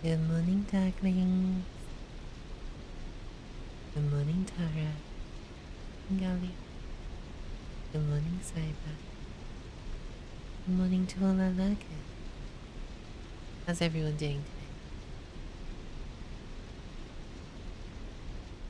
Good morning, darklings. Good morning, Tara. Ngali. Good morning, Saba. Good morning to all our lurkers. How's everyone doing today?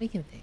We can fix it.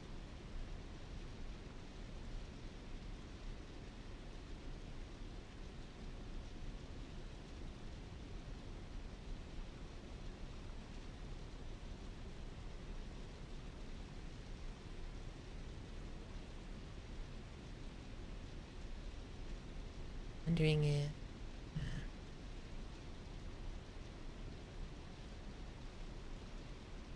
wondering if uh,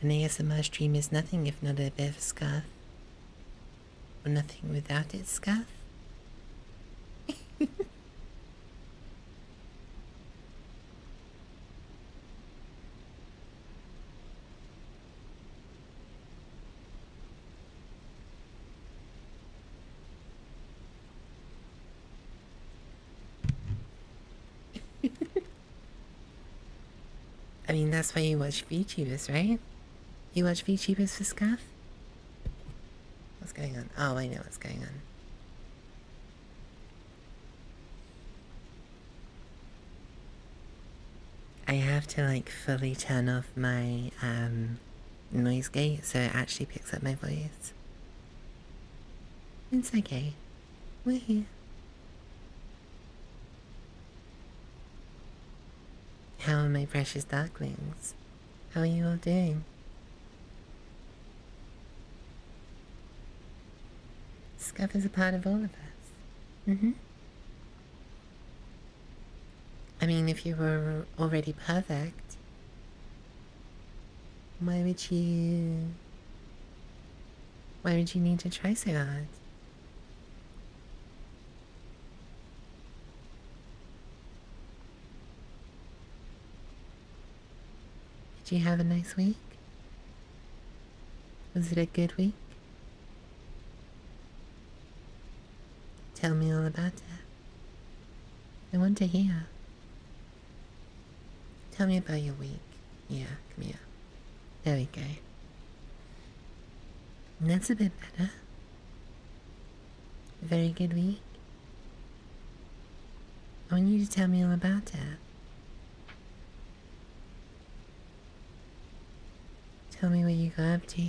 And An ASMR stream is nothing if not a bit of scarf. Or nothing without its scath. I mean, that's why you watch v VTubers, right? You watch v VTubers for scath. What's going on? Oh, I know what's going on. I have to like fully turn off my um, noise gate so it actually picks up my voice. It's okay. We're here. How are my precious ducklings? How are you all doing? Scuff is a part of all of us. Mm-hmm. I mean, if you were already perfect, why would you... Why would you need to Triceratops? Did you have a nice week? Was it a good week? Tell me all about it. I want to hear. Tell me about your week. Yeah, come here. There we go. That's a bit better. Very good week. I want you to tell me all about it. Tell me where you go up to.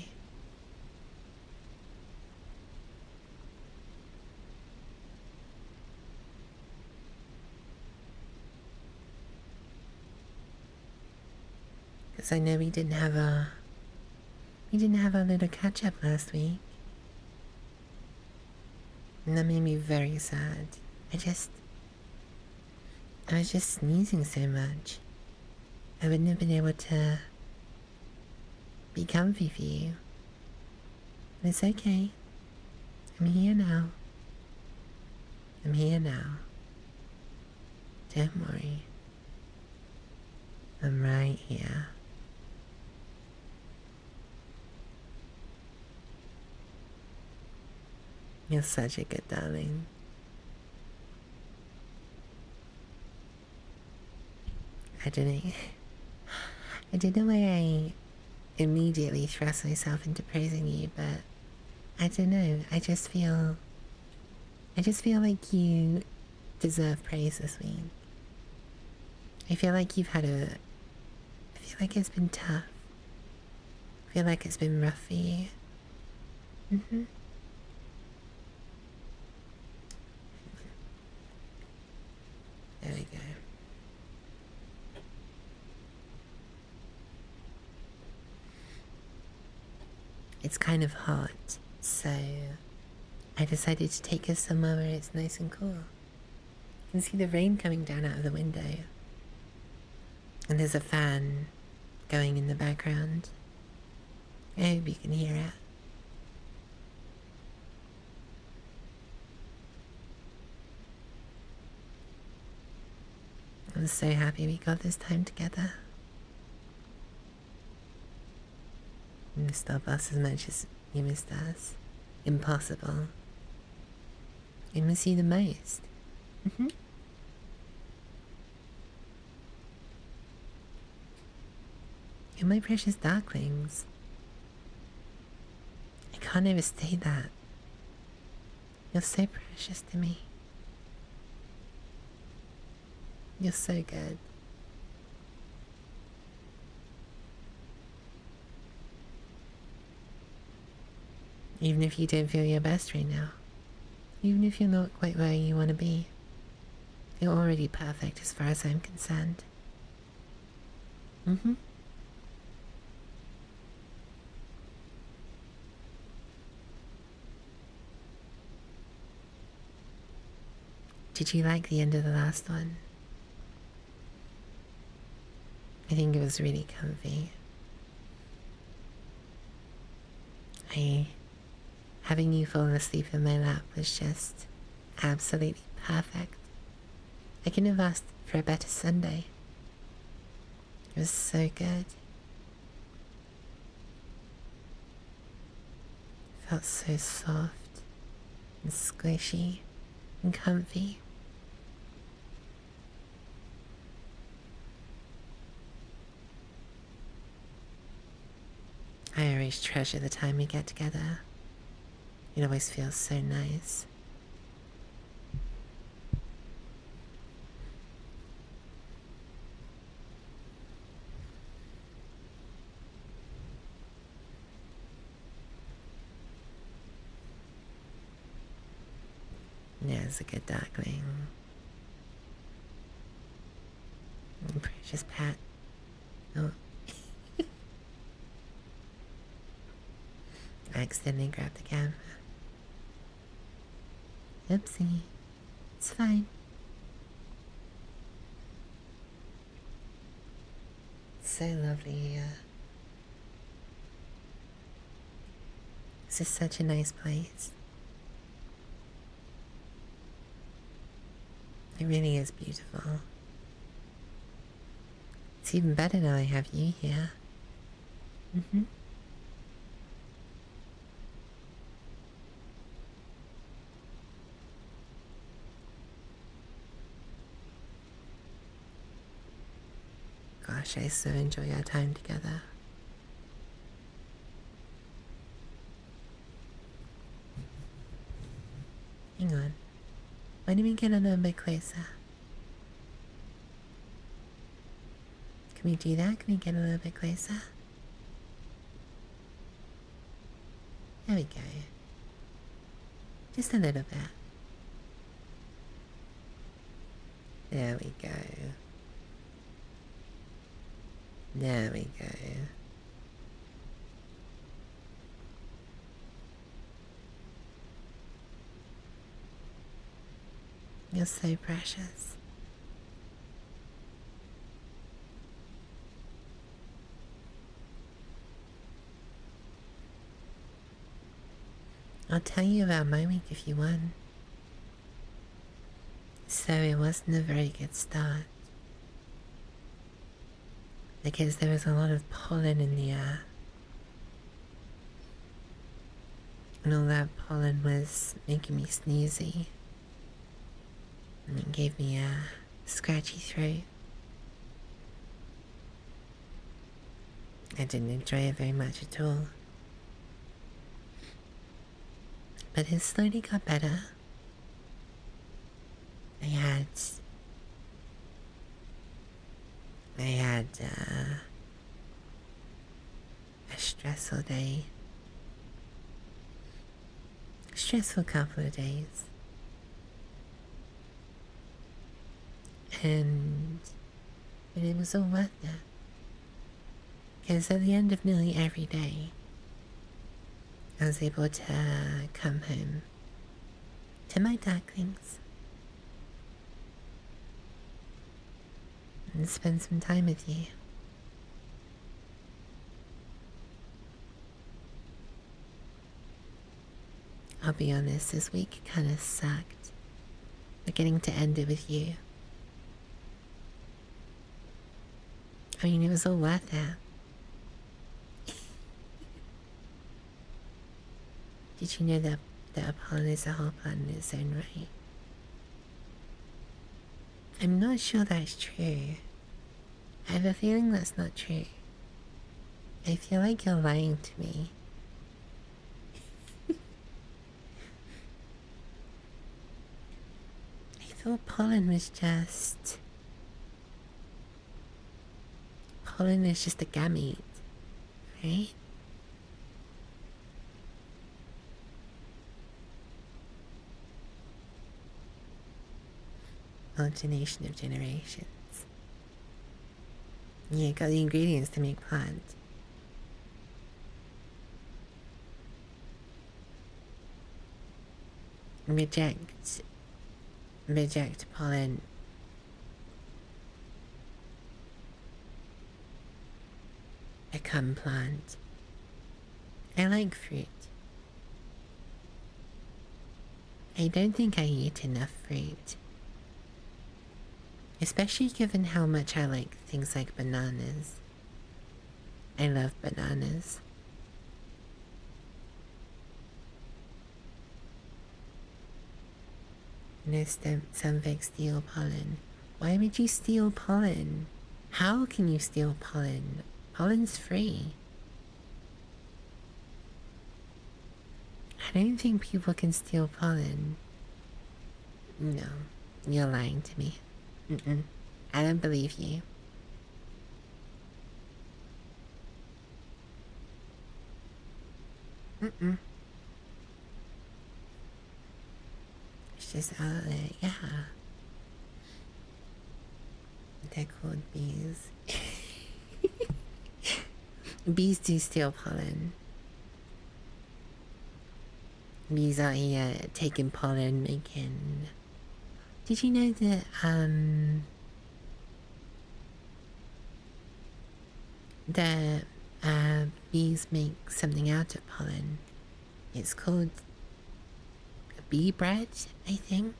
Because I know we didn't have a we didn't have a little catch up last week. And that made me very sad. I just I was just sneezing so much. I wouldn't have been able to be comfy for you. But it's okay. I'm here now. I'm here now. Don't worry. I'm right here. You're such a good darling. I didn't. I don't know why I immediately thrust myself into praising you, but I don't know. I just feel. I just feel like you deserve praise this week. I feel like you've had a. I feel like it's been tough. I feel like it's been rough for you. Mm-hmm. There we go. It's kind of hot, so I decided to take us somewhere where it's nice and cool. You can see the rain coming down out of the window. And there's a fan going in the background. I oh, hope you can hear it. I'm so happy we got this time together. You missed us as much as you missed us. Impossible. You miss you the most. Mm -hmm. You're my precious darlings. I can't overstate that. You're so precious to me. You're so good. Even if you don't feel your best right now, even if you're not quite where you want to be, you're already perfect as far as I'm concerned. Mm-hmm. Did you like the end of the last one? I think it was really comfy. I having you fall asleep in my lap was just absolutely perfect. I couldn't have asked for a better Sunday. It was so good. It felt so soft and squishy and comfy. I always treasure the time we get together. It always feels so nice. There's a good duckling. Precious pet. Oh. I accidentally grabbed the camera. Oopsie. It's fine. so lovely here. This is such a nice place. It really is beautiful. It's even better now I have you here. Mm hmm. Gosh, I so enjoy our time together. Hang on. Can we get a little bit closer? Can we do that? Can we get a little bit closer? There we go. Just a little bit. There we go. There we go. You're so precious. I'll tell you about my if you want. So it wasn't a very good start. Because there was a lot of pollen in the air and all that pollen was making me sneezy. And it gave me a scratchy throat. I didn't enjoy it very much at all. But it slowly got better. I had I had uh, a stressful day, stressful couple of days, and but it was all worth it. Because at the end of nearly every day, I was able to come home to my ducklings and spend some time with you. I'll be honest, this week kind of sucked. But getting to end it with you. I mean, it was all worth it. Did you know that, that Apollon is a whole planet in its own right? I'm not sure that's true. I have a feeling that's not true. I feel like you're lying to me. I thought pollen was just... Pollen is just a gamete right? Alternation of generations. Yeah, got the ingredients to make plants. Reject. Reject pollen. I come plant. I like fruit. I don't think I eat enough fruit. Especially given how much I like things like bananas. I love bananas. Nurse Samveg steal pollen. Why would you steal pollen? How can you steal pollen? Pollen's free. I don't think people can steal pollen. No, you're lying to me. Mm-mm. I don't believe you. Mm-mm. It's just out there, yeah. They're called bees. bees do steal pollen. Bees are here taking pollen, making. Did you know that um, that uh, bees make something out of pollen. It's called bee bread, I think.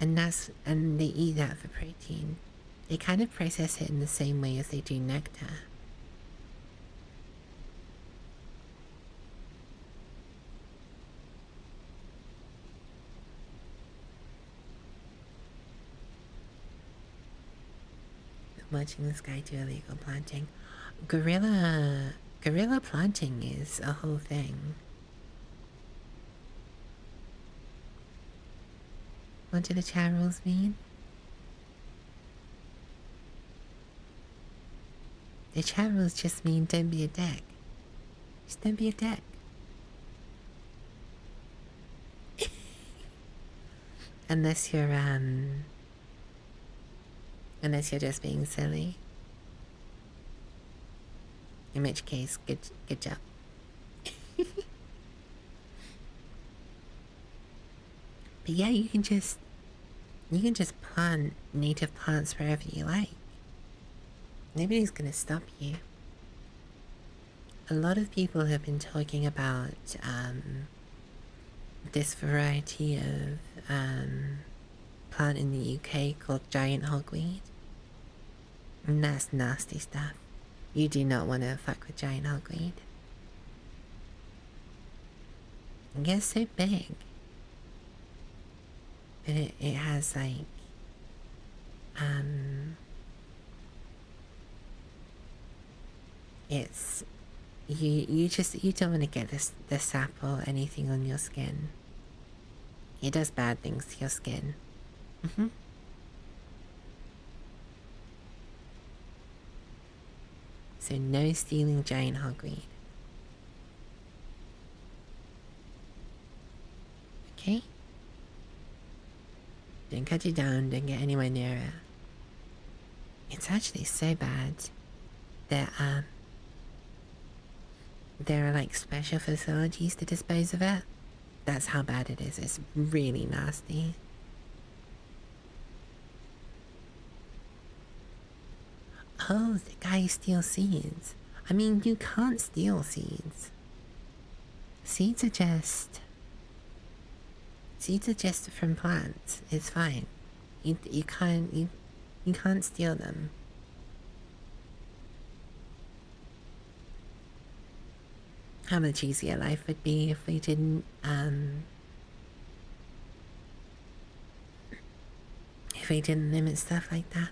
And that's and they eat that for protein. They kind of process it in the same way as they do nectar. Watching this guy do illegal planting. Gorilla, gorilla planting is a whole thing. What do the chat rules mean? The chat rules just mean don't be a dick. Just don't be a dick unless you're um unless you're just being silly in which case good good job but yeah you can just you can just plant native plants wherever you like nobody's gonna stop you a lot of people have been talking about um, this variety of um, plant in the UK called giant hogweed. that's nasty stuff. You do not want to fuck with giant hogweed. It gets so big. But it has like um, it's you. You just you don't want to get this the sap or anything on your skin. It does bad things to your skin. Mm-hmm. So no stealing giant hogweed. Okay did not cut you down, did not get anywhere near it. It's actually so bad that um, there are like special facilities to dispose of it. That's how bad it is. It's really nasty. Oh, the guy steals seeds. I mean, you can't steal seeds. Seeds are just so you are just from plants. It's fine. You, you can't you, you can't steal them. How much easier life would be if we didn't um, if we didn't limit stuff like that.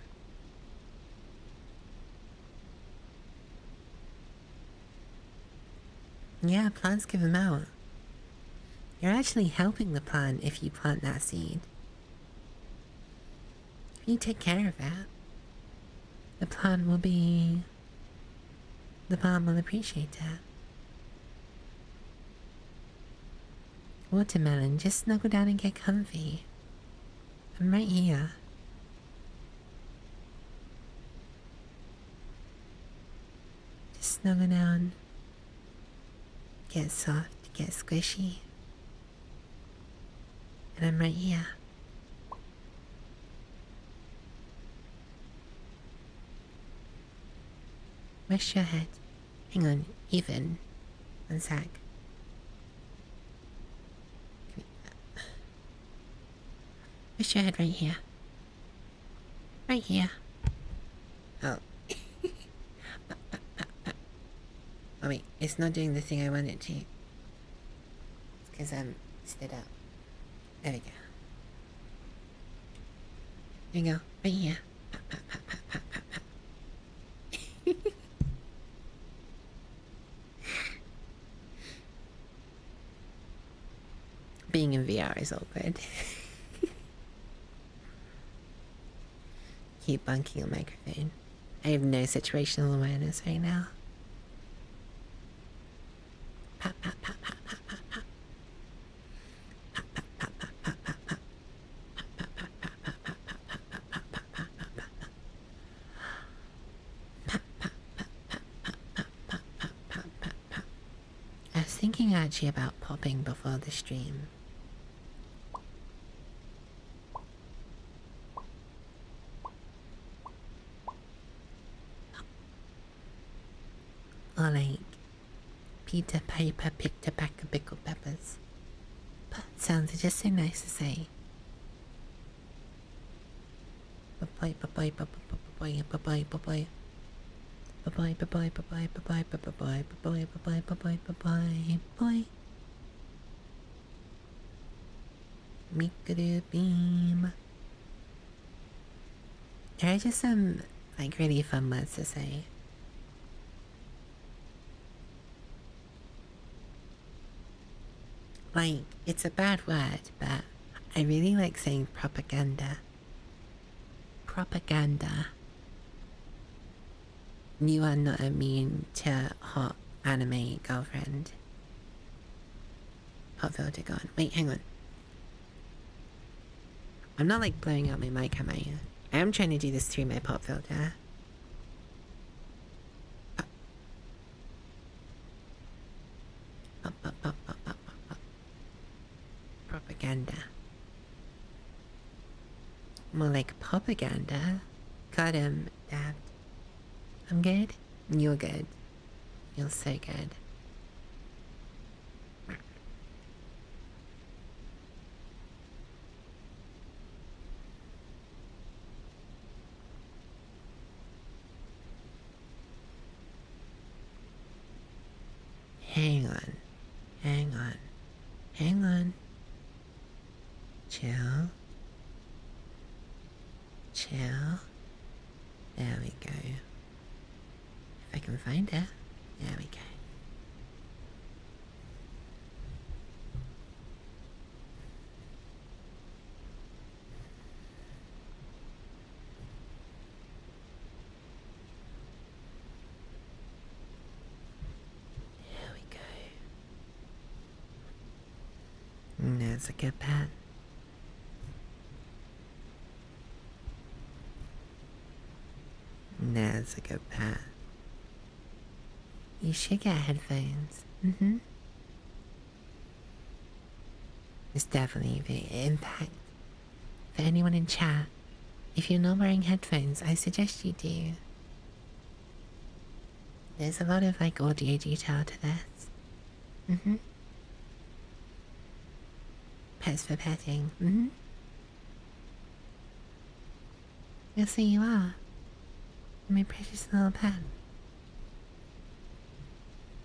Yeah, plants give them out. You're actually helping the plant if you plant that seed. If you take care of it, the plant will be... The plant will appreciate that. Watermelon, just snuggle down and get comfy. I'm right here. Just snuggle down. Get soft, get squishy. And I'm right here. Rest your head. Hang on, even. One sec. Wish your head right here. Right here. Oh. uh, uh, oh wait, it's not doing the thing I wanted it to. because I'm stood up. There we go. There we go. Right here. Being in VR is all good. Keep bunking a microphone. I have no situational awareness right now. I was thinking actually about popping before the stream. Or like, Peter Piper picked a pack of pickled peppers. But sounds just so nice to say. Bye bye bye bye bye bye bye bye bye. Bye bye bye bye bye bye bye bye bye bye bye bye bye bye bye. Mikado beam. There are just some like really fun words to say. Like, it's a bad word, but I really like saying propaganda. Propaganda. You are not mean to hot anime girlfriend. Hot filter gone. Wait, hang on. I'm not like blowing out my mic, am I? I am trying to do this through my pop filter. Up, up, up, up, up, up, Propaganda. More like propaganda. Got him, Dad. I'm good? You're good. You're so good. Hang on, hang on, hang on. Chill, chill. There we go. If I can find it, there we go. Here we go. Hmm. There's a good pen. There's a good pen. You should get headphones. hmm it's definitely the impact. For anyone in chat, if you're not wearing headphones, I suggest you do. There's a lot of like audio detail to this. hmm. Pets for petting. Mm hmm. Yes, you are. My precious little pet.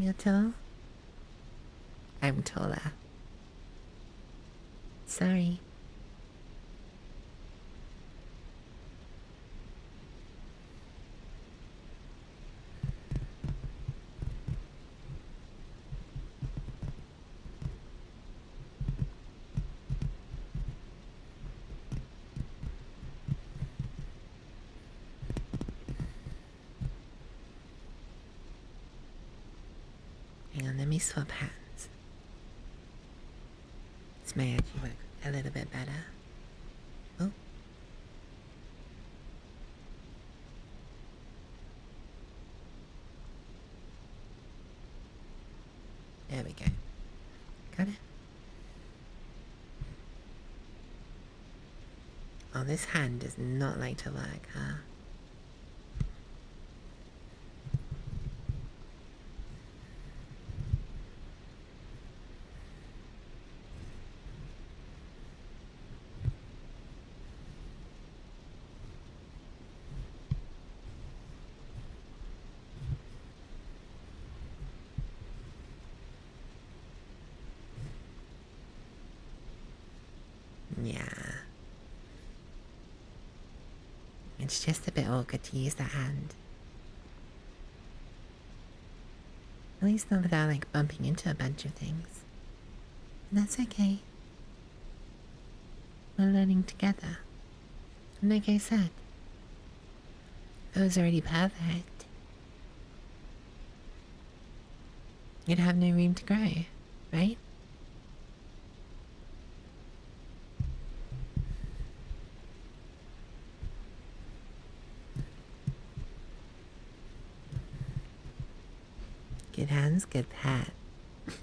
Myoto? I'm taller. Sorry. Hang on, let me swap hands. This may actually work a little bit better. Oh. There we go. Got it? Oh, this hand does not like to work, huh? Yeah. It's just a bit awkward to use that hand. At least not without like bumping into a bunch of things. And that's okay. We're learning together. Like I said, I was already perfect. You'd have no room to grow, right? Good hands, good pat.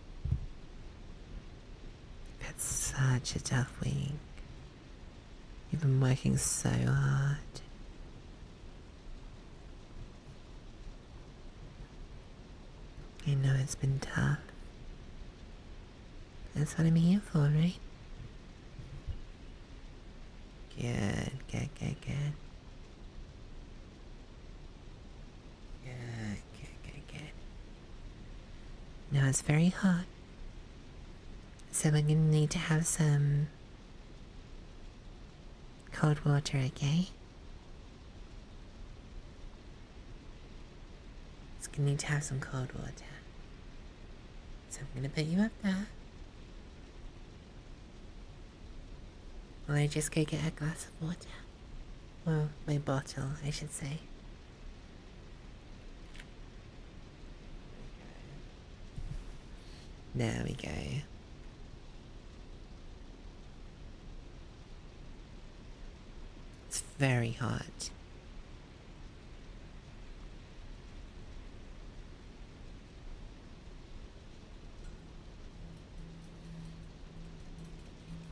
That's such a tough week. You've been working so hard. I know it's been tough. That's what I'm here for, right? Good, good, good, good. Good, good, good, good. Now it's very hot. So we're gonna need to have some cold water, okay? It's gonna need to have some cold water. So I'm gonna put you up there. Well, I just go get a glass of water. Well, my bottle, I should say. There we go. It's very hot.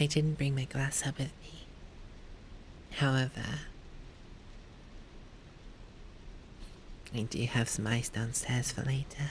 I didn't bring my glass up with me. However, I do have some ice downstairs for later.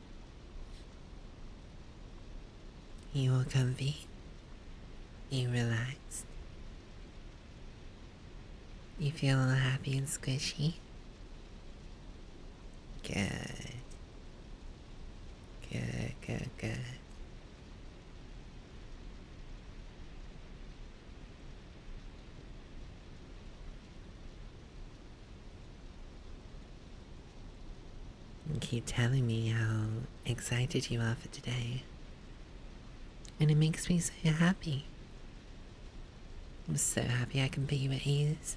You are comfy, you relaxed, you feel happy and squishy. Good, good, good, good keep telling me how excited you are for today. And it makes me so happy. I'm so happy I can be with you at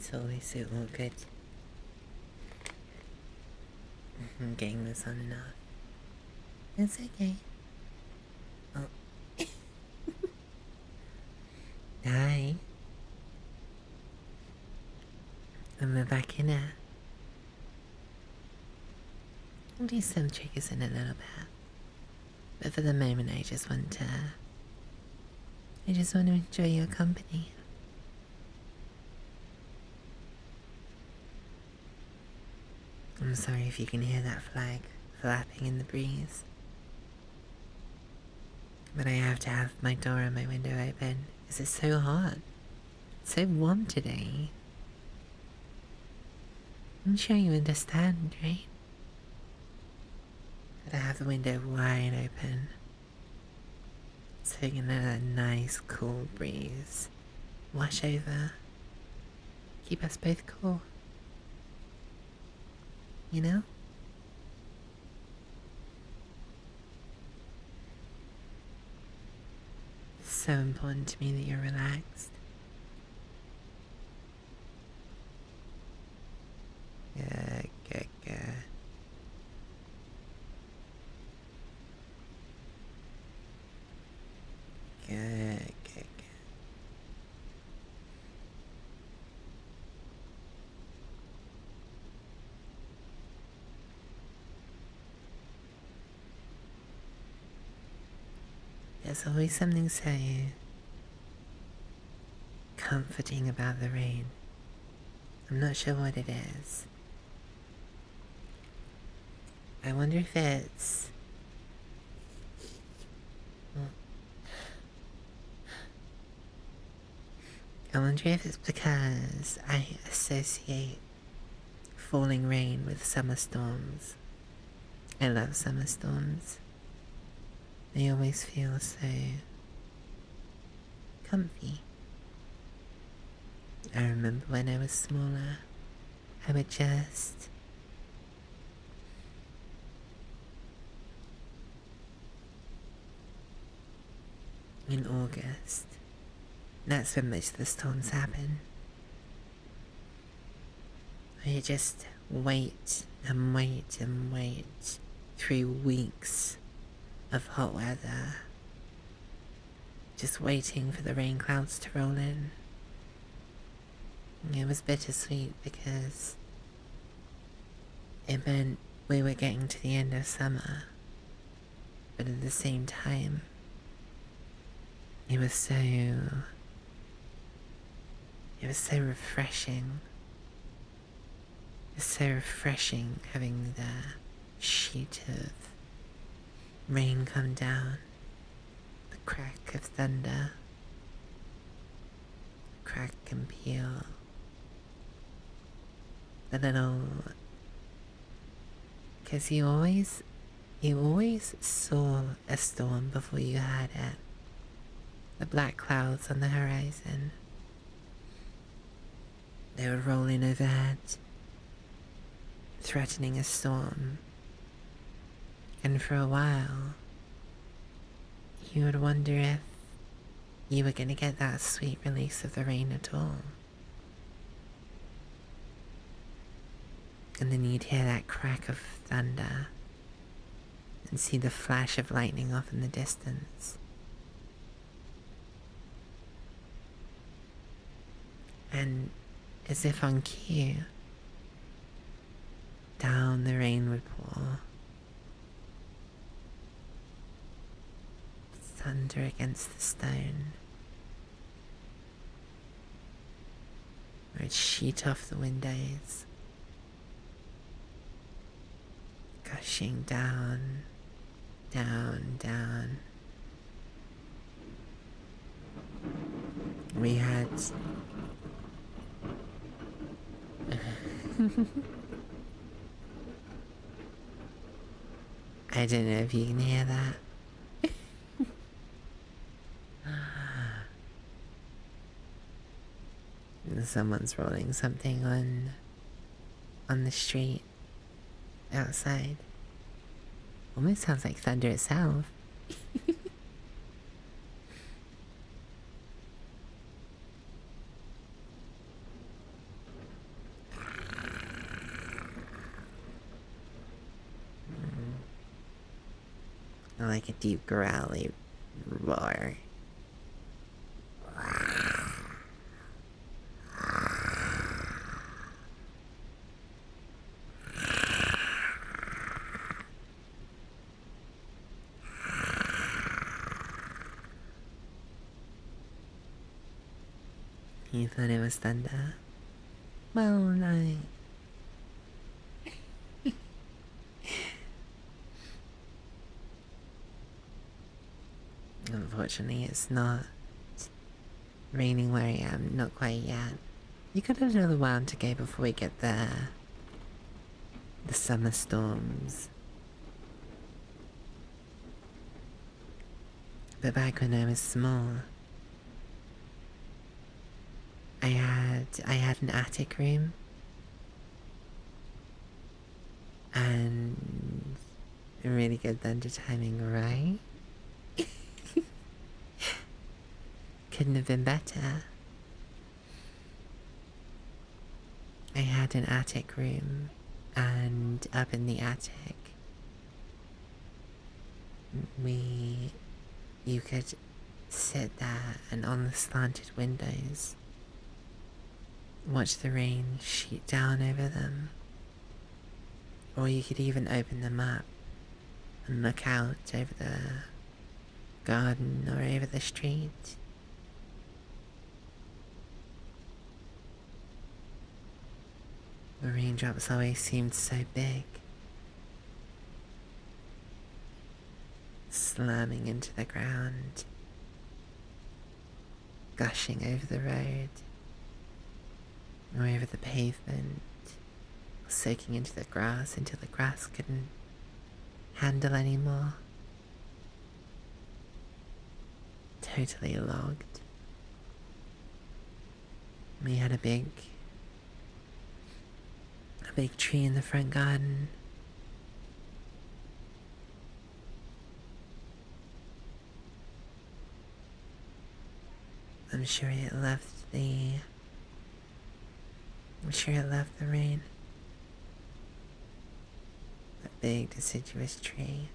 So is we all good? I'm getting this on and off. It's okay. Oh. Hi. I'm back in Rebecca. I'll do some tricks in a little bit. But for the moment I just want to I just want to enjoy your company. I'm sorry if you can hear that flag flapping in the breeze. But I have to have my door and my window open Is it so hot. so warm today. I'm sure you understand, right? But I have the window wide open. So you can let that nice cool breeze wash over. Keep us both cool. You know? so important to me that you're relaxed. Good, good, good. Good, good, good. There's always something so comforting about the rain. I'm not sure what it is. I wonder if it's... I wonder if it's because I associate falling rain with summer storms. I love summer storms. They always feel so comfy. I remember when I was smaller, I would just in August. That's when most of the storms happen. You just wait and wait and wait through weeks of hot weather. Just waiting for the rain clouds to roll in. It was bittersweet because it meant we were getting to the end of summer, but at the same time, it was so. It was so refreshing. It so refreshing having the sheet of rain come down, the crack of thunder, crack and peal. And then I'll... you always... You always saw a storm before you had it. The black clouds on the horizon. They were rolling overhead, threatening a storm. And for a while, you would wonder if you were going to get that sweet release of the rain at all. And then you'd hear that crack of thunder and see the flash of lightning off in the distance. And as if on cue, down the rain would pour Thunder against the stone. Or it sheet off the windows, gushing down, down, down. We had. I don't know if you can hear that. Someone's rolling something on on the street outside. Almost sounds like thunder itself. I like a deep growly roar. You thought it was thunder? Well, no. Unfortunately, it's not raining where I am, not quite yet. You got another round to go before we get there. The summer storms. But back when I was small, I had I had an attic room, and really good thunder timing, right? Couldn't have been better. I had an attic room, and up in the attic, we. you could sit there and on the slanted windows, watch the rain sheet down over them. Or you could even open them up and look out over the garden or over the street the raindrops always seemed so big. Slamming into the ground, gushing over the road, or over the pavement, soaking into the grass until the grass couldn't handle anymore. Totally logged. We had a big, a big tree in the front garden. I'm sure it left the, I'm sure it left the rain. That big deciduous tree.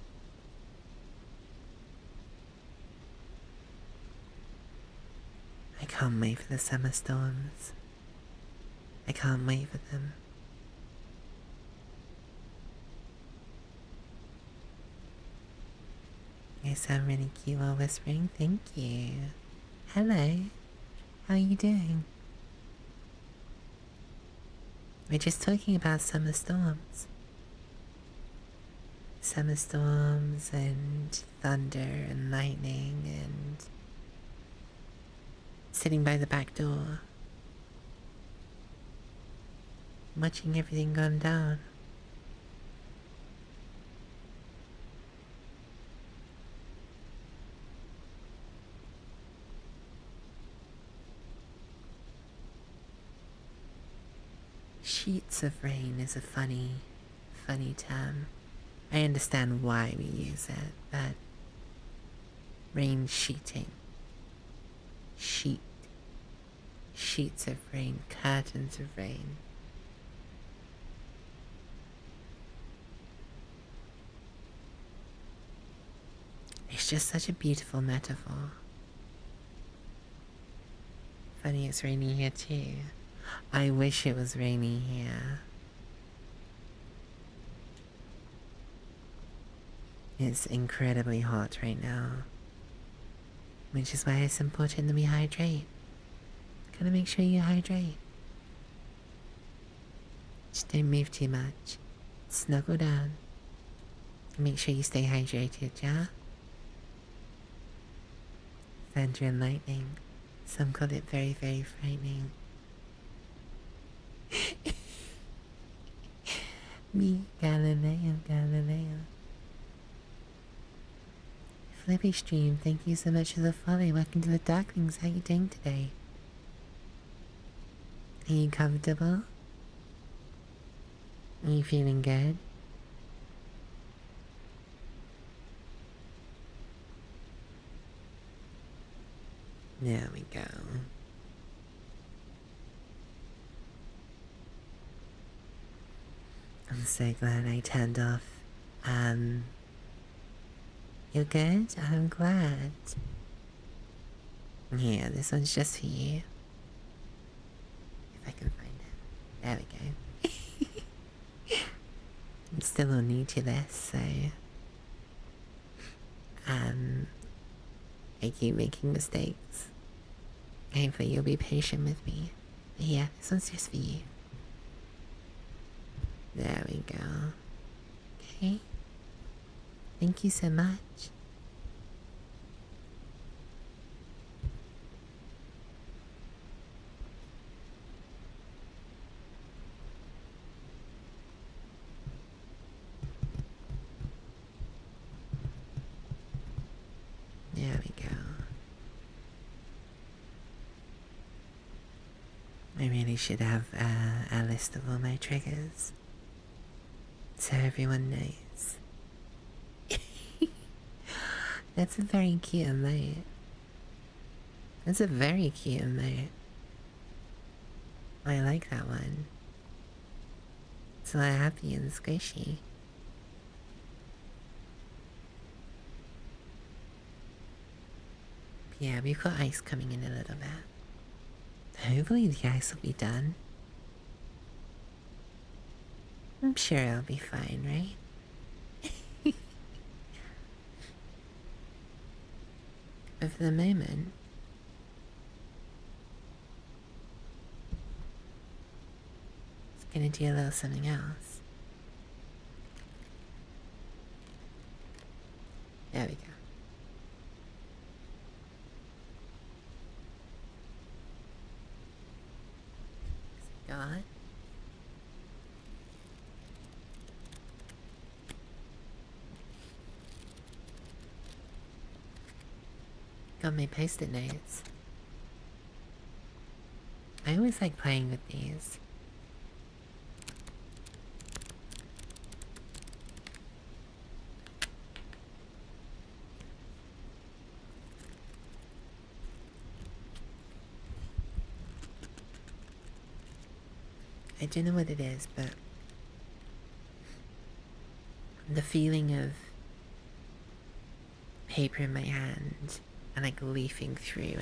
I can't wait for the summer storms. I can't wait for them. I sound really cute while whispering. Thank you. Hello. How are you doing? We're just talking about summer storms. Summer storms and thunder and lightning and sitting by the back door. Watching everything gone down. Sheets of rain is a funny, funny term. I understand why we use it, but rain sheeting, sheet, sheets of rain, curtains of rain. It's just such a beautiful metaphor. Funny it's rainy here too. I wish it was rainy here. It's incredibly hot right now. Which is why it's important that we hydrate. Gotta make sure you hydrate. Just don't move too much. Snuggle down. Make sure you stay hydrated, yeah? Thunder and lightning. Some call it very, very frightening. Me, Galileo, Galileo. Flippy Stream, thank you so much for the follow. Welcome to the Darklings. How you doing today? Are you comfortable? Are you feeling good? There we go. I'm so glad I turned off. Um, you're good? I'm glad. Yeah, this one's just for you. If I can find it. There we go. I'm still all new to this, so... Um, I keep making mistakes. Hopefully you'll be patient with me. yeah, this one's just for you. There we go. Okay. Thank you so much. There we go. I really should have uh, a list of all my triggers so everyone knows. That's a very cute mate. That's a very cute mate. I like that one. It's a lot happy and squishy. Yeah, we've got ice coming in a little bit. Hopefully the ice will be done. I'm sure i will be fine, right? but for the moment, it's gonna do a little something else. There we go. Got. Got my post-it notes. I always like playing with these. I don't know what it is, but the feeling of paper in my hand and like leafing through it.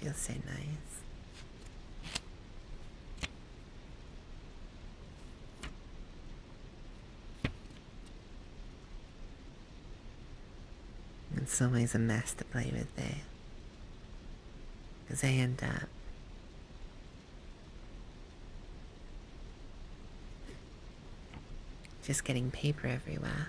It feels so nice. In some a mess to play with there. Because they end up just getting paper everywhere.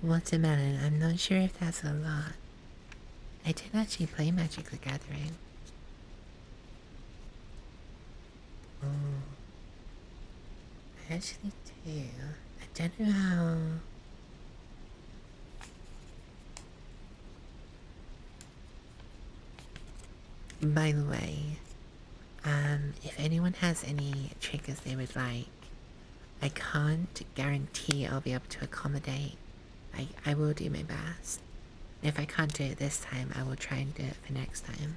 What's a melon? I'm not sure if that's a lot. I did actually play Magic the Gathering. Oh. I actually do. I don't know By the way, um, if anyone has any triggers they would like, I can't guarantee I'll be able to accommodate. I, I will do my best. if I can't do it this time, I will try and do it the next time.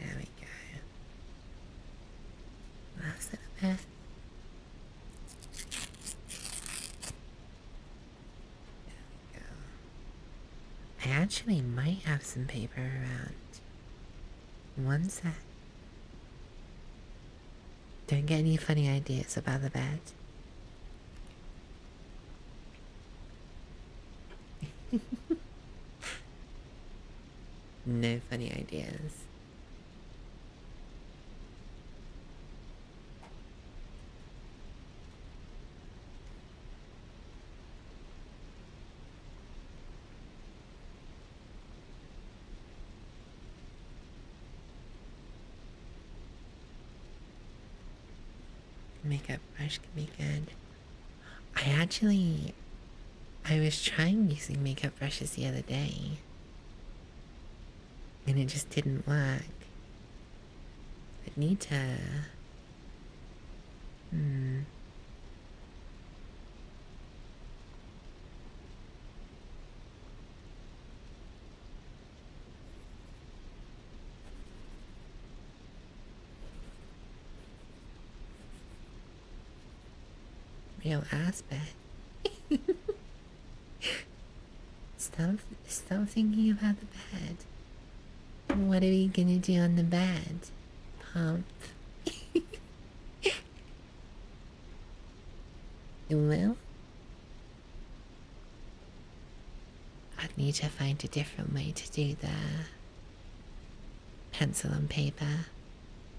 There we go. That's it there. there I actually might have some paper around. One set. Don't get any funny ideas about the bed. no funny ideas. Makeup brush can be good. I actually, I was trying using makeup brushes the other day, and it just didn't work. But need to. Hmm. Real aspect. stop, stop thinking about the bed. What are we gonna do on the bed? Pump. You will i need to find a different way to do the pencil and paper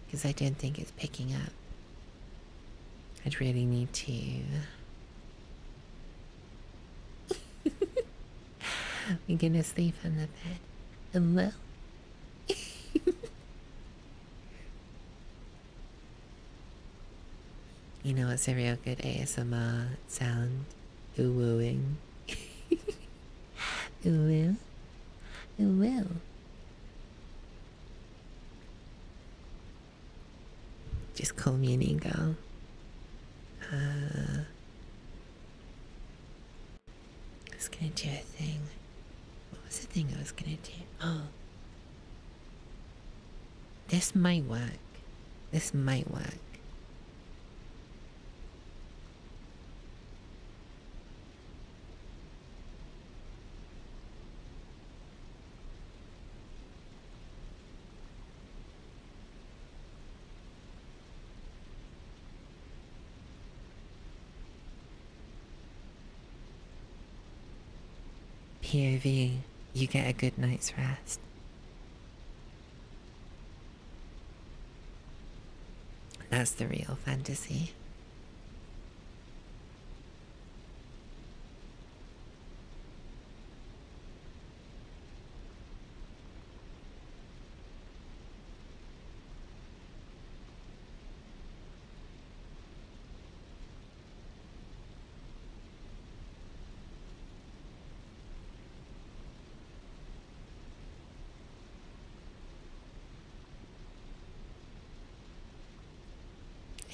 because I don't think it's picking up. I'd really need to. We're gonna sleep on the bed. Hello? You know what's a real good ASMR sound? Ooh-wooing. Ooh-will. Just call me an ego. Uh, I was gonna do a thing. What was the thing I was gonna do? Oh, this might work. This might work. POV you get a good night's rest. That's the real fantasy.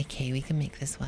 Okay, we can make this work.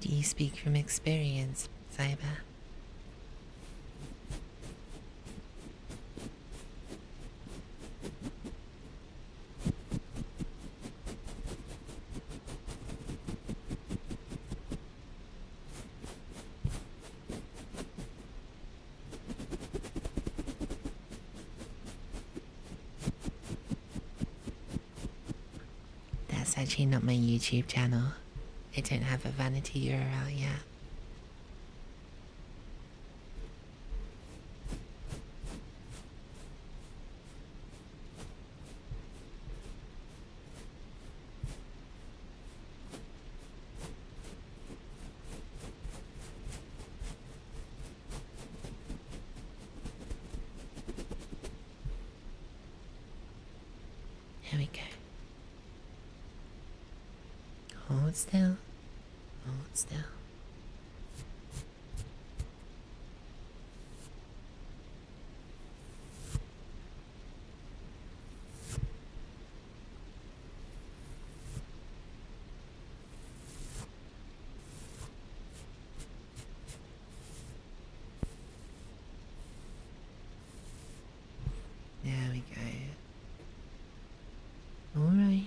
Do you speak from experience, Saiba? That's actually not my YouTube channel. I don't have a vanity URL yet. Here we go. Hold still. Hold still. There we go. Alright.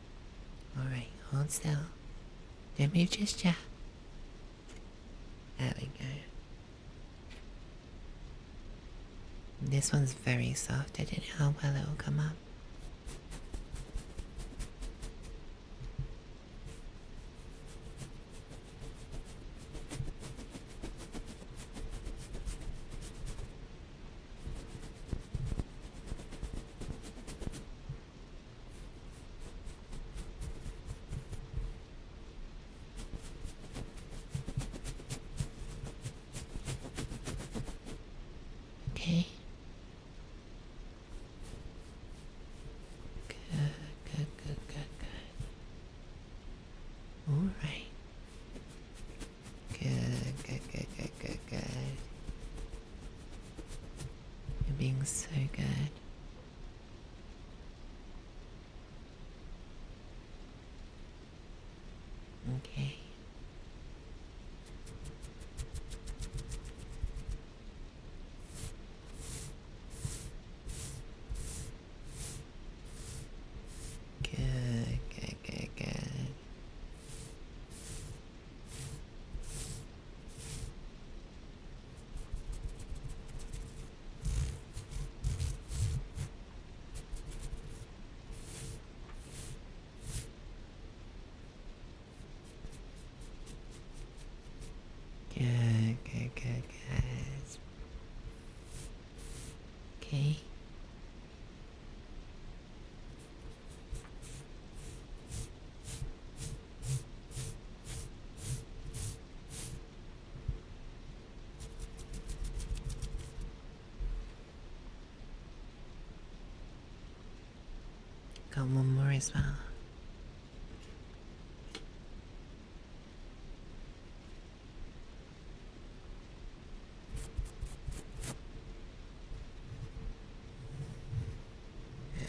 Alright, hold still. Let me just yet. There we go. This one's very soft. I don't know how well it will come up. Okay. Good, good, good, good, good. All right. Good, good, good, good, good, you're being so good. Okay. Good, good, good, good. Good, good, good, guys. Okay. Got one more as well. There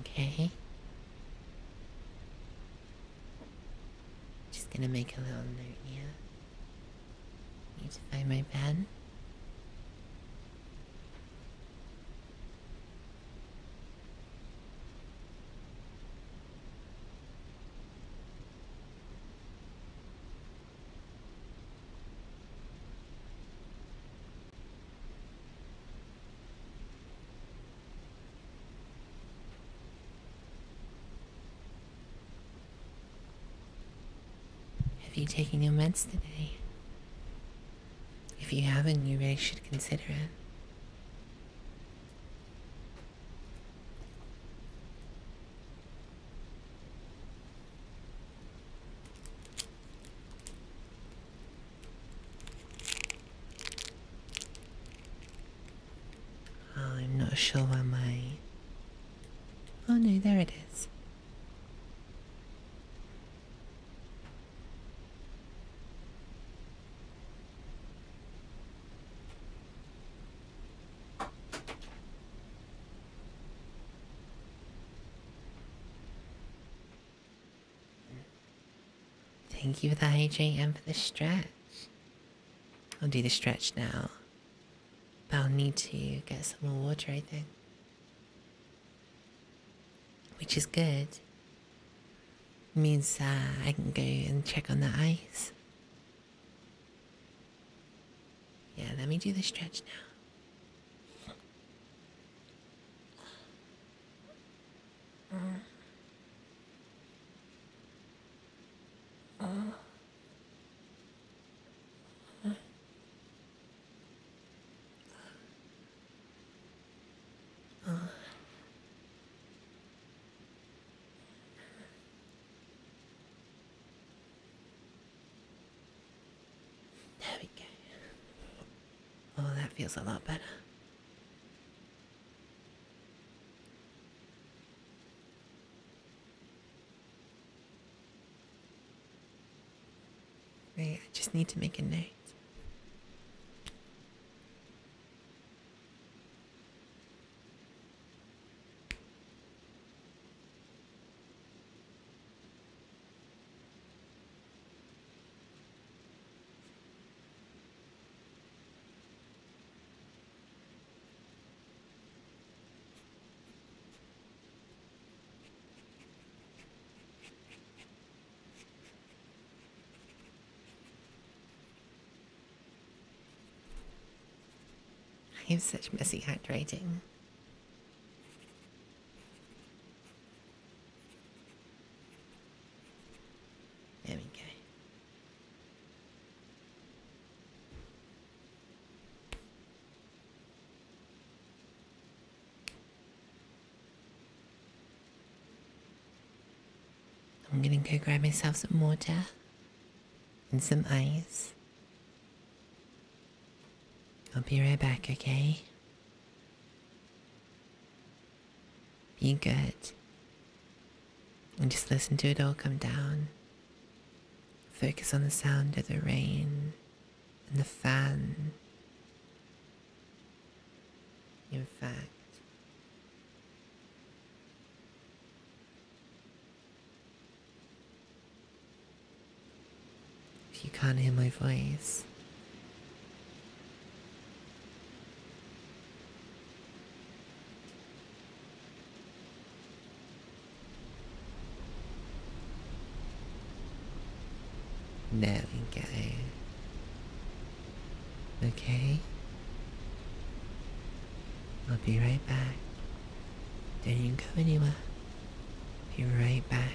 Okay. Just gonna make a little note here. Need to find my pen. Have you taken your meds today? If you haven't, you really should consider it. I'm not sure why my Oh no, there it is. Thank you for the hydrate and for the stretch. I'll do the stretch now. But I'll need to get some more water, I think. Which is good. Means I can go and check on the ice. Yeah, let me do the stretch now. Uh. Uh there we go. Oh, that feels a lot better. I just need to make a note. I have such messy handwriting. There I'm gonna go grab myself some water and some ice. I'll be right back, okay? Be good and just listen to it all come down. Focus on the sound of the rain and the fan. In fact, if you can't hear my voice, there we go. Okay. I'll be right back. Don't you go anywhere. Be right back.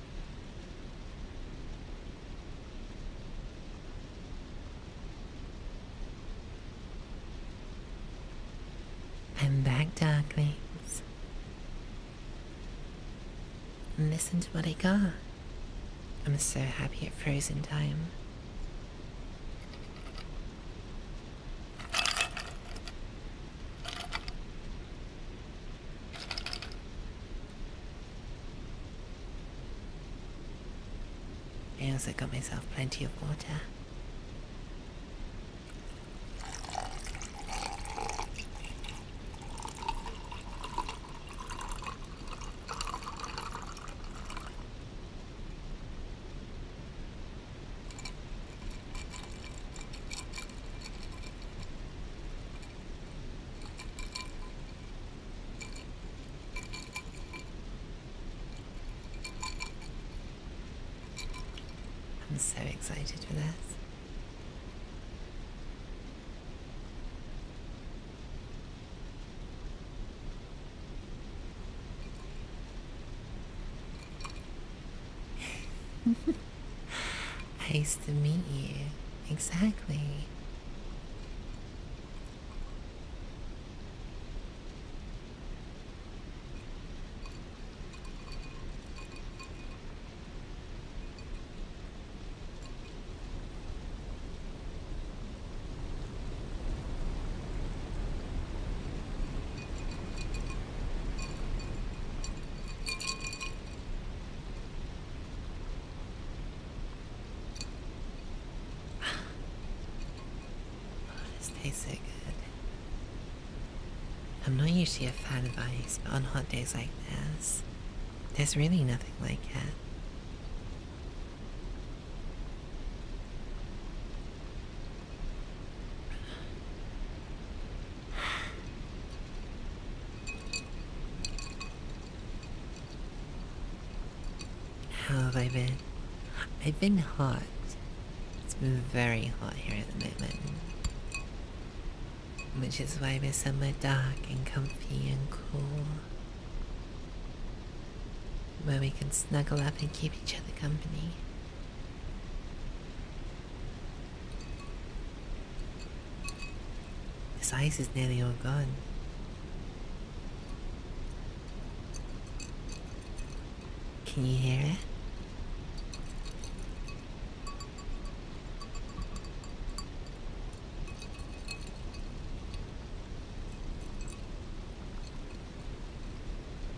I'm back, darklings. And listen to what I got. I'm so happy it froze in time. I also got myself plenty of water. I'm so excited for this. nice to meet you. Exactly this tastes good. I'm not usually a fan of ice, on hot days like this, there's really nothing like it. How have I been? I've been hot. It's been very hot here at the moment. Which is why we're somewhere dark and comfy and cool. Where we can snuggle up and keep each other company. This ice is nearly all gone. Can you hear it?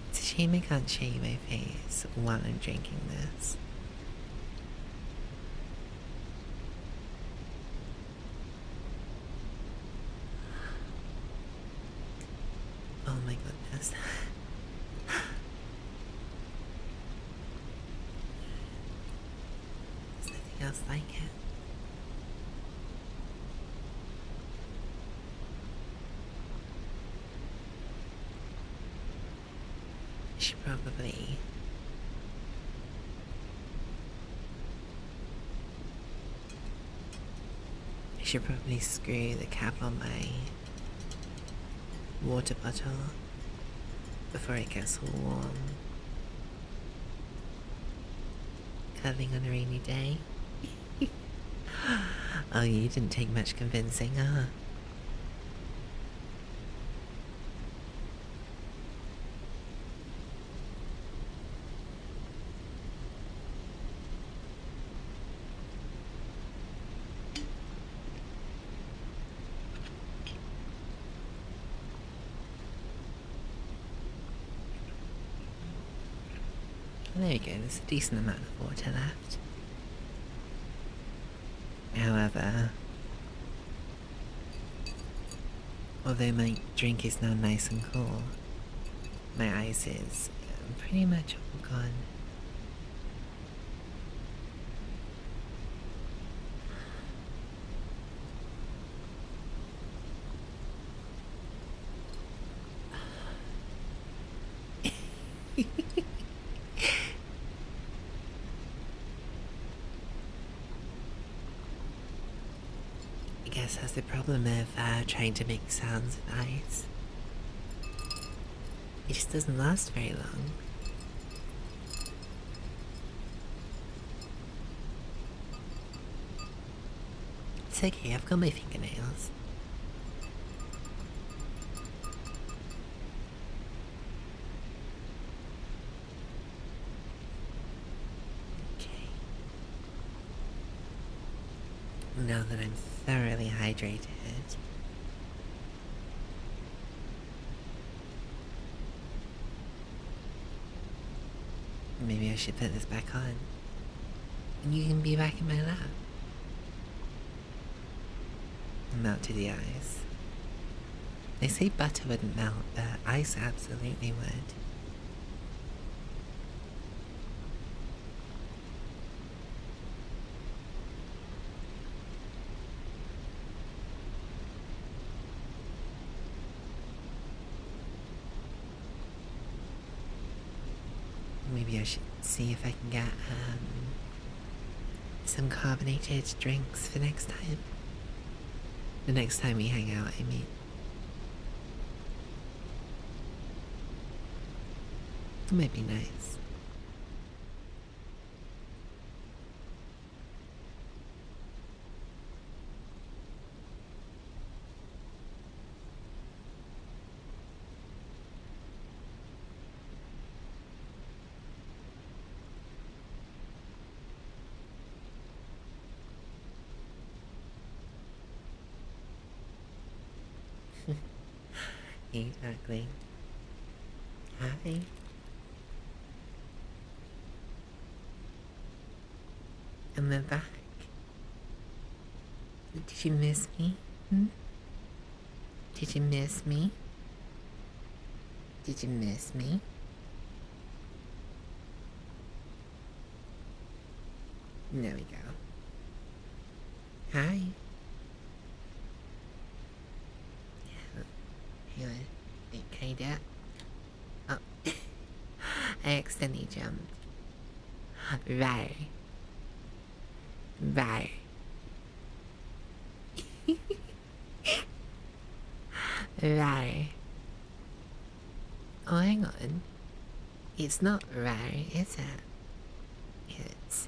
It's a shame I can't show you my face while I'm drinking this. Oh my goodness. nothing else like it. I should probably I should probably screw the cap on my water bottle before it gets warm. Having a rainy day. oh, you didn't take much convincing, huh? There you go, there's a decent amount of water left. However, although my drink is now nice and cool, my ice is pretty much all gone. I guess that's the problem of uh, trying to make sounds with eyes. It just doesn't last very long. It's okay, I've got my fingernails. Okay. Now that I'm thoroughly hydrated, maybe I should put this back on. And you can be back in my lap. Not to the eyes. They say butter wouldn't melt, but ice absolutely would. Maybe I should see if I can get um, some carbonated drinks for next time. The next time we hang out, I mean. It might be nice exactly. Hi. And then back. Did you miss me? Hmm? Did you miss me? Did you miss me? There we go. Hi. Feeling like kinda. Oh, I accidentally jumped. Right. Right. Rare. Oh, hang on. It's not rare, is it? It's.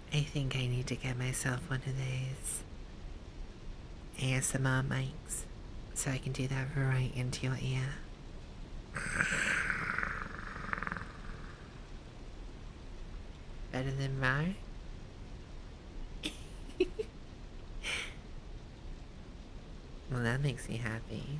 I think I need to get myself one of these ASMR mics so I can do that right into your ear. Better than mine? well, that makes me happy.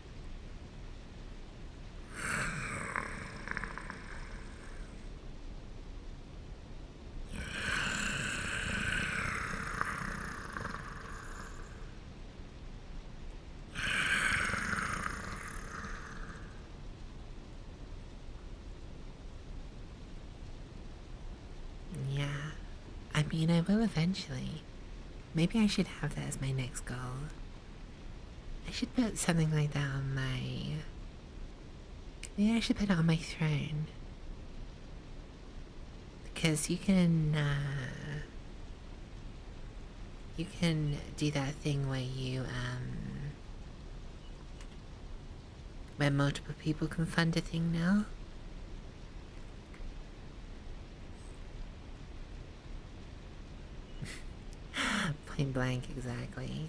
Yeah, I mean, I will eventually. Maybe I should have that as my next goal. I should put something like that on my. Maybe I should put it on my throne. Because you can. Uh, you can do that thing where you. Um, where multiple people can fund a thing now. Plain blank, exactly.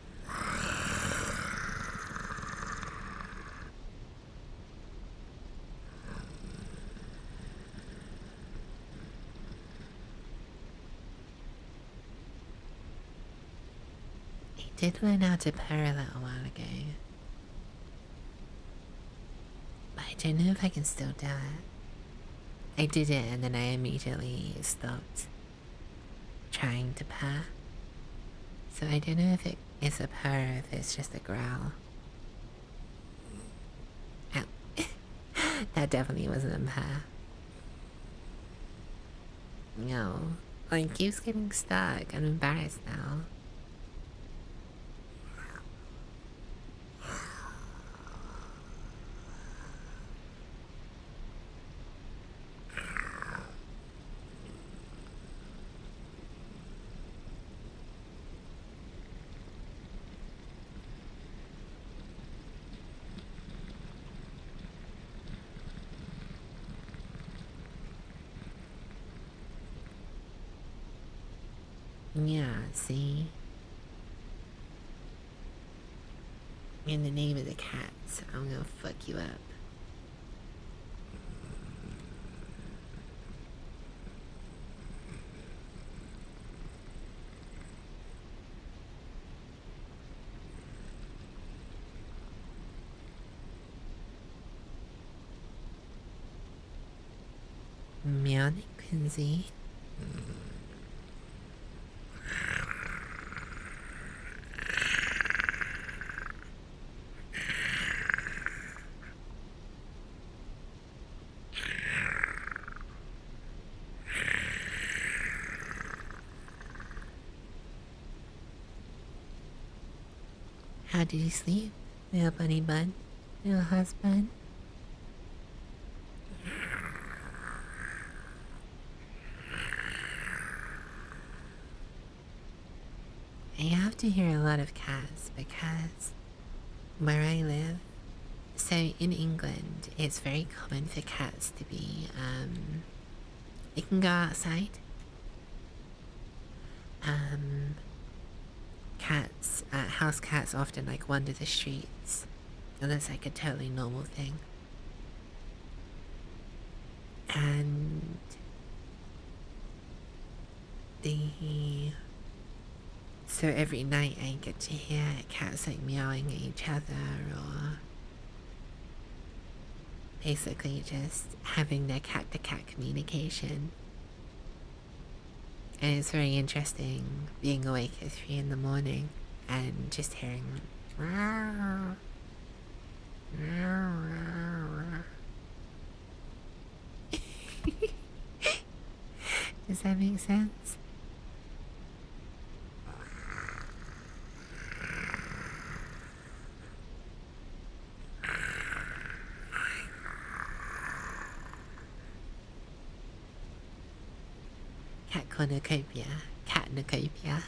He did learn how to parallel a while ago. But I don't know if I can still do it. I did it and then I immediately stopped trying to purr. So I don't know if it is a purr or if it's just a growl. that definitely wasn't a purr. No. Oh, it keeps getting stuck. I'm embarrassed now. Yeah, see? In the name of the cats, I'm gonna fuck you up. Meowing Quincy. How did you sleep, little bunny bud, little husband? I have to hear a lot of cats because where I live, so in England, it's very common for cats to be, um, they can go outside. Um, cats, uh, house cats often like wander the streets, and that's like a totally normal thing and the so every night I get to hear cats like meowing at each other or basically just having their cat to cat communication. And it's very interesting being awake at 3 in the morning and just hearing them. Does that make sense? Cat cornucopia, cat cornucopia.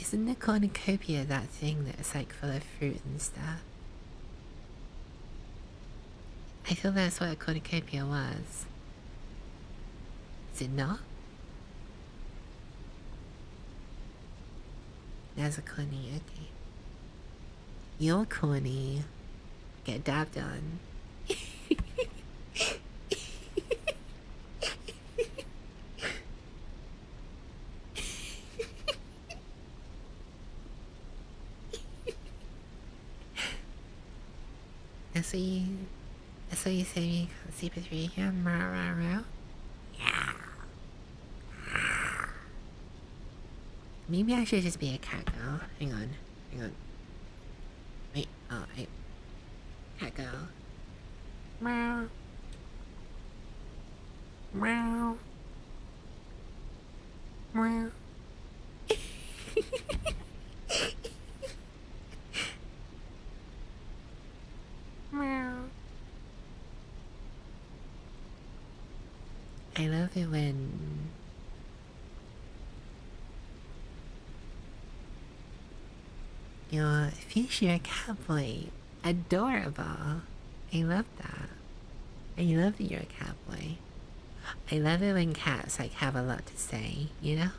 Isn't the cornucopia that thing that's like full of fruit and stuff? I feel that's what a cornucopia was. Is it not? That's a corny, okay. You're corny. Get dabbed on. That's what you. That's what you said you can 3 a.m. Rah, rah, rah. Yeah. Maybe I should just be a cat girl. Hang on. Hang on. Wait, oh, I... Cat go. Meow. Meow. Meow. Meow. I love you, when your cat boy, Adorable. I love that. I love that you're a cat boy. I love it when cats like have a lot to say, you know?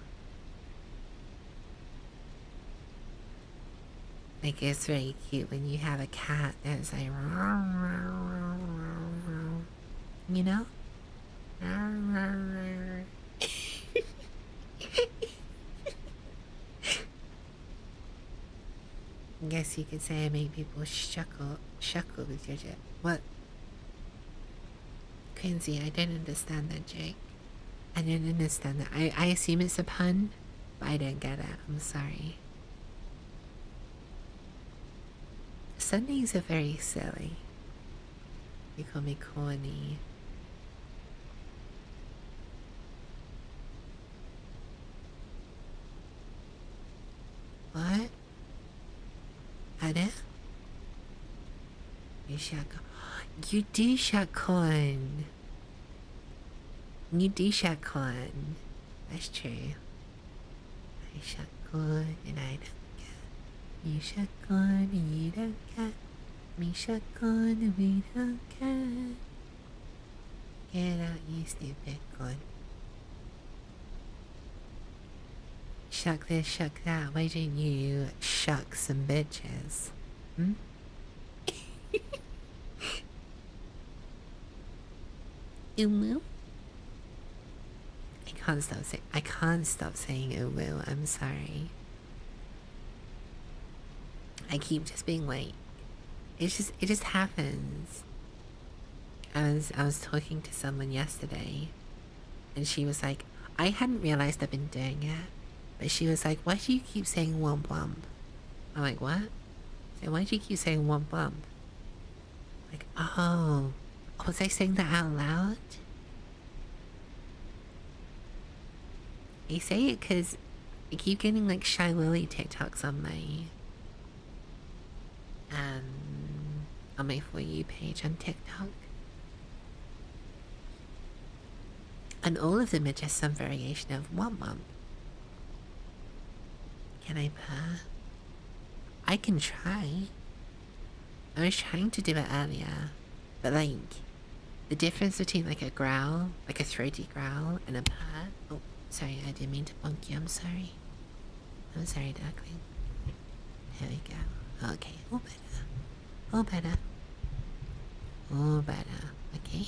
Like it's very cute when you have a cat that's like you know? I guess you could say I make people shuckle, shuckle with your jib. What? Quincy, I didn't understand that, Jake. I didn't understand that. I, I assume it's a pun, but I didn't get it. I'm sorry. Sundays are very silly. You call me corny. What? Ada? You shot You do shot corn. You do shot corn. That's true. I shot corn and I don't care. You shot corn and you don't care. Misha gonna be the cat. Get out, you stupid gun. Shuck this, shuck that. Why didn't you shuck some bitches? Hmm? Umu? I can't stop saying I can't stop saying will. I'm sorry. I keep just being like, it's just, it just happens. I was, I was talking to someone yesterday and she was like, I hadn't realized I've been doing it, but she was like, why do you keep saying womp womp? I'm like, what? And why do you keep saying womp womp? Like, oh, was I saying that out loud? I say it because I keep getting like Shy Lily TikToks on my um, on my for you page on TikTok. And all of them are just some variation of Womp Womp. Can I purr? I can try. I was trying to do it earlier, but like, the difference between like a growl, like a throaty growl, and a purr. Oh, sorry, I didn't mean to punk you. I'm sorry. I'm sorry, duckling. There we go. Okay, Oh, better. Oh, better. All better. Okay.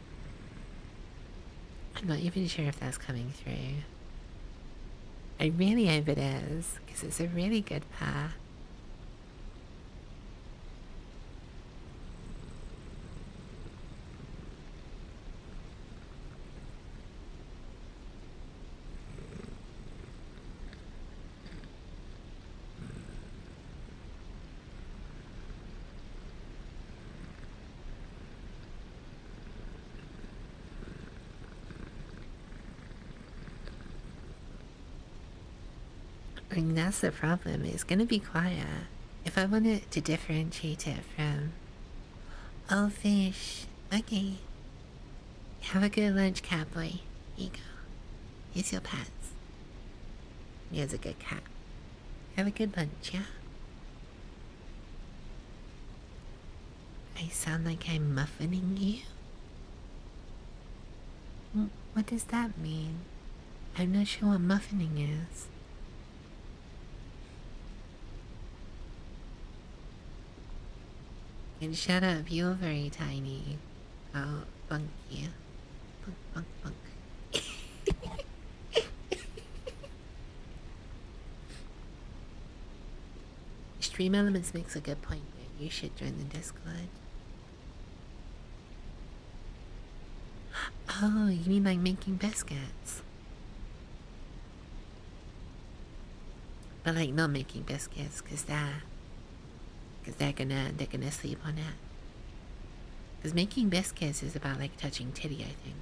I'm not even sure if that's coming through. I really hope it is, because it's a really good pair. Like, that's the problem. It's gonna be quiet. If I wanted to differentiate it from... Oh, fish. Okay. Have a good lunch, cowboy. Here you go. Here's your pets. You're a good cat. Have a good lunch, yeah? I sound like I'm muffining you? Mm, what does that mean? I'm not sure what muffining is. And shut up, you're very tiny. Oh, Bunky. Punk, punk, punk. Stream Elements makes a good point there. You should join the Discord. Oh, you mean like making biscuits? But like not making biscuits, cause that, cause they're gonna they're gonna sleep on it. Because making biscuits is about like touching Teddy, I think.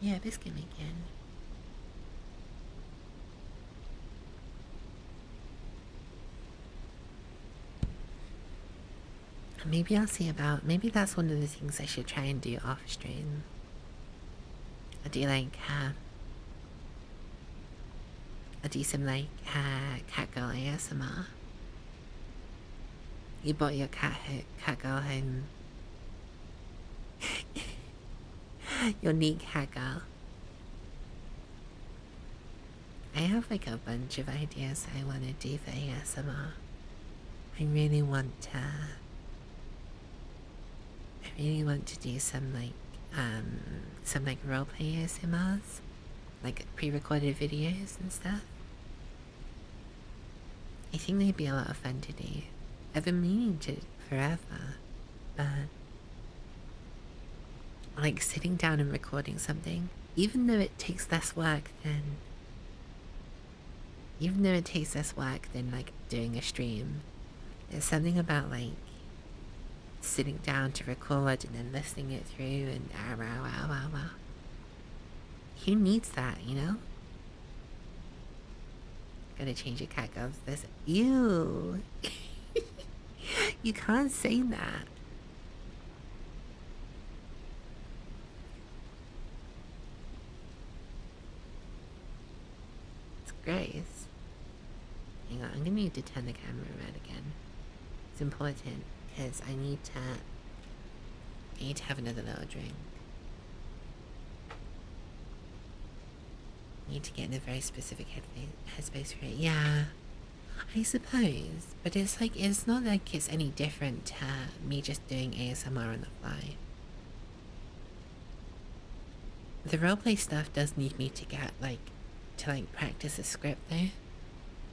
Yeah, biscuit making. Maybe I'll see about, maybe that's one of the things I should try and do off screen. I do like, I'll do some like uh, cat girl ASMR. You bought your cat ho catgirl home. your neat catgirl. I have like a bunch of ideas I want to do for ASMR. I really want to. I really want to do some like um some like roleplay ASMRs like pre-recorded videos and stuff. I think they'd be a lot of fun to do. I've been meaning to forever, but like sitting down and recording something, even though it takes less work than even though it takes less work than like doing a stream, there's something about like sitting down to record and then listening it through and wow, wow, wow, wow. Who needs that, you know? Gonna change your cat goes this. Ew. you can't say that. It's Grace. Hang on, I'm gonna need to turn the camera around again. It's important because I need to. need to have another little drink. Need to get in a very specific headspace for it. Yeah, I suppose. But it's like, it's not like it's any different to me just doing ASMR on the fly. The roleplay stuff does need me to get, like, to, like, practice a script there.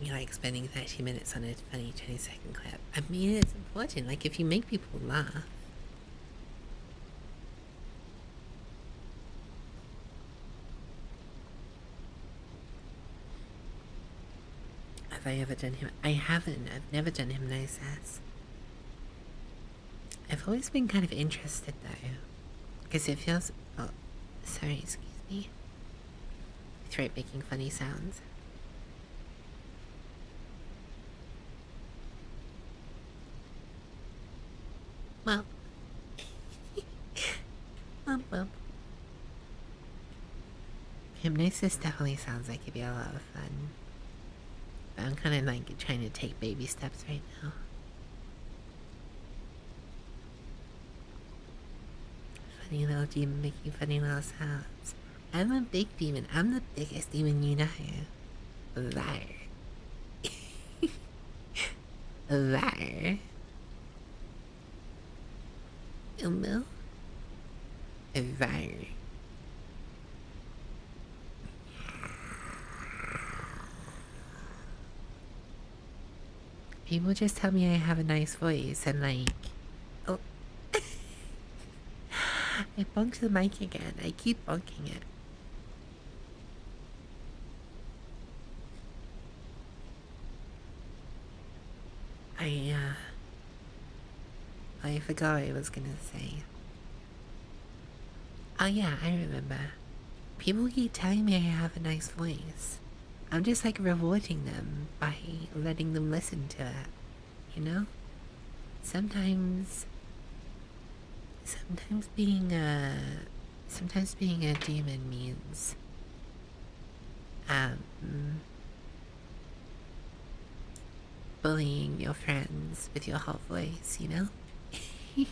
you like spending 30 minutes on a funny 20 second clip. I mean, it's important. Like, if you make people laugh, have I ever done him? I haven't. I've never done him no sass. I've always been kind of interested though, because it feels. Oh, sorry, excuse me throat making funny sounds. Well, um, Hypnosis definitely sounds like it'd be a lot of fun. But I'm kind of like trying to take baby steps right now. Funny little demon making funny little sounds. I'm a big demon. I'm the biggest demon you know. Liar. Liar. Umbo? Liar. People just tell me I have a nice voice and like oh I bunked the mic again. I keep bunking it. I uh I forgot what I was gonna say. Oh yeah, I remember. People keep telling me I have a nice voice. I'm just like rewarding them by letting them listen to it, you know? Sometimes, sometimes being a, sometimes being a demon means, um, bullying your friends with your whole voice, you know?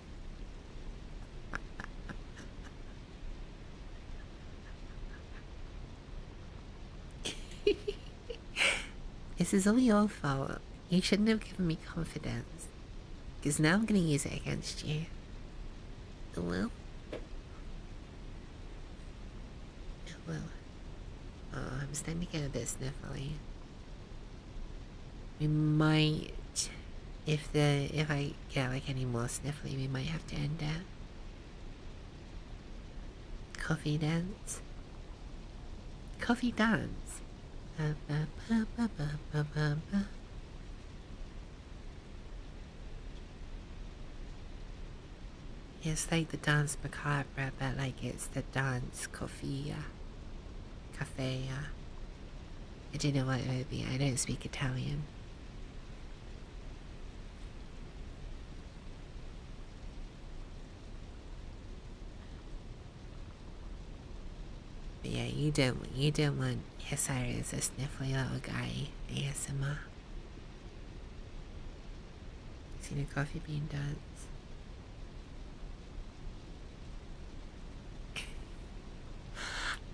this is all your fault. You shouldn't have given me confidence. Because now I'm going to use it against you. It oh, will. It oh, will. Oh, I'm starting to get a bit sniffly. We might if the if I get like any more sniffling we might have to end that. Coffee dance. Coffee dance. Ba, It's like the dance macabre, but like it's the dance coffee, cafe. I do know what it would be. I don't speak Italian. yeah, you don't you don't want Hesiris a sniffly little guy ASMR. See the coffee bean dance.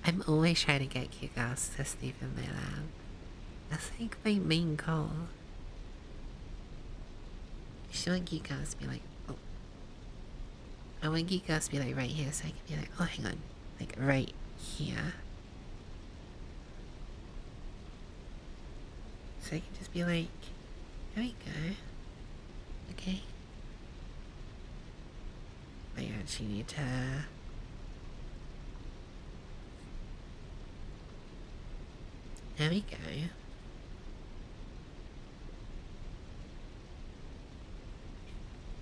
I'm always trying to get you guys to sleep in my lab. I think my mean goal. Should want you guys be like, oh. I want you guys to be like right here so I can be like, oh hang on. Like right here. So I can just be like, there you go. Okay. I actually need hair. There we go.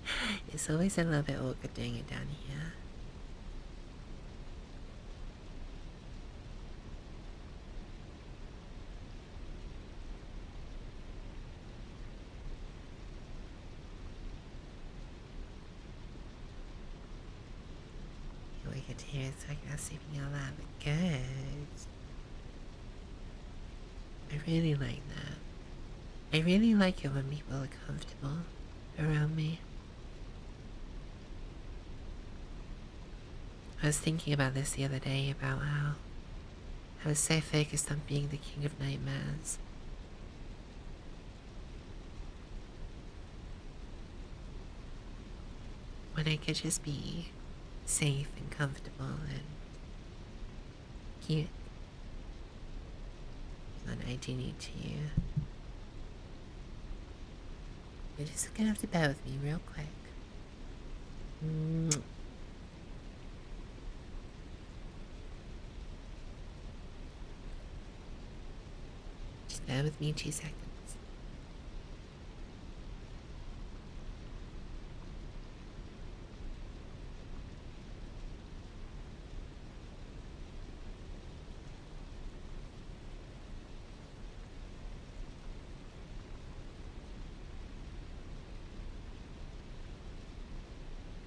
It's always a little bit awkward doing it down here. You wake up to hear us talking about sleeping out I really like that. I really like it when people are comfortable around me. I was thinking about this the other day about how I was so focused on being the king of nightmares. When I could just be safe and comfortable and cute. And I do need to. You're just gonna have to bear with me real quick. Just bear with me two seconds.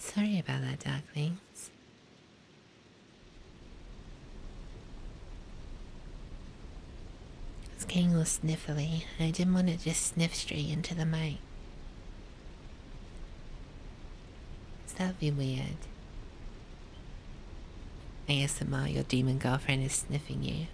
Sorry about that, ducklings. It's getting a little sniffly, and I didn't want to just sniff straight into the mic that'd be weird. ASMR, your demon girlfriend is sniffing you.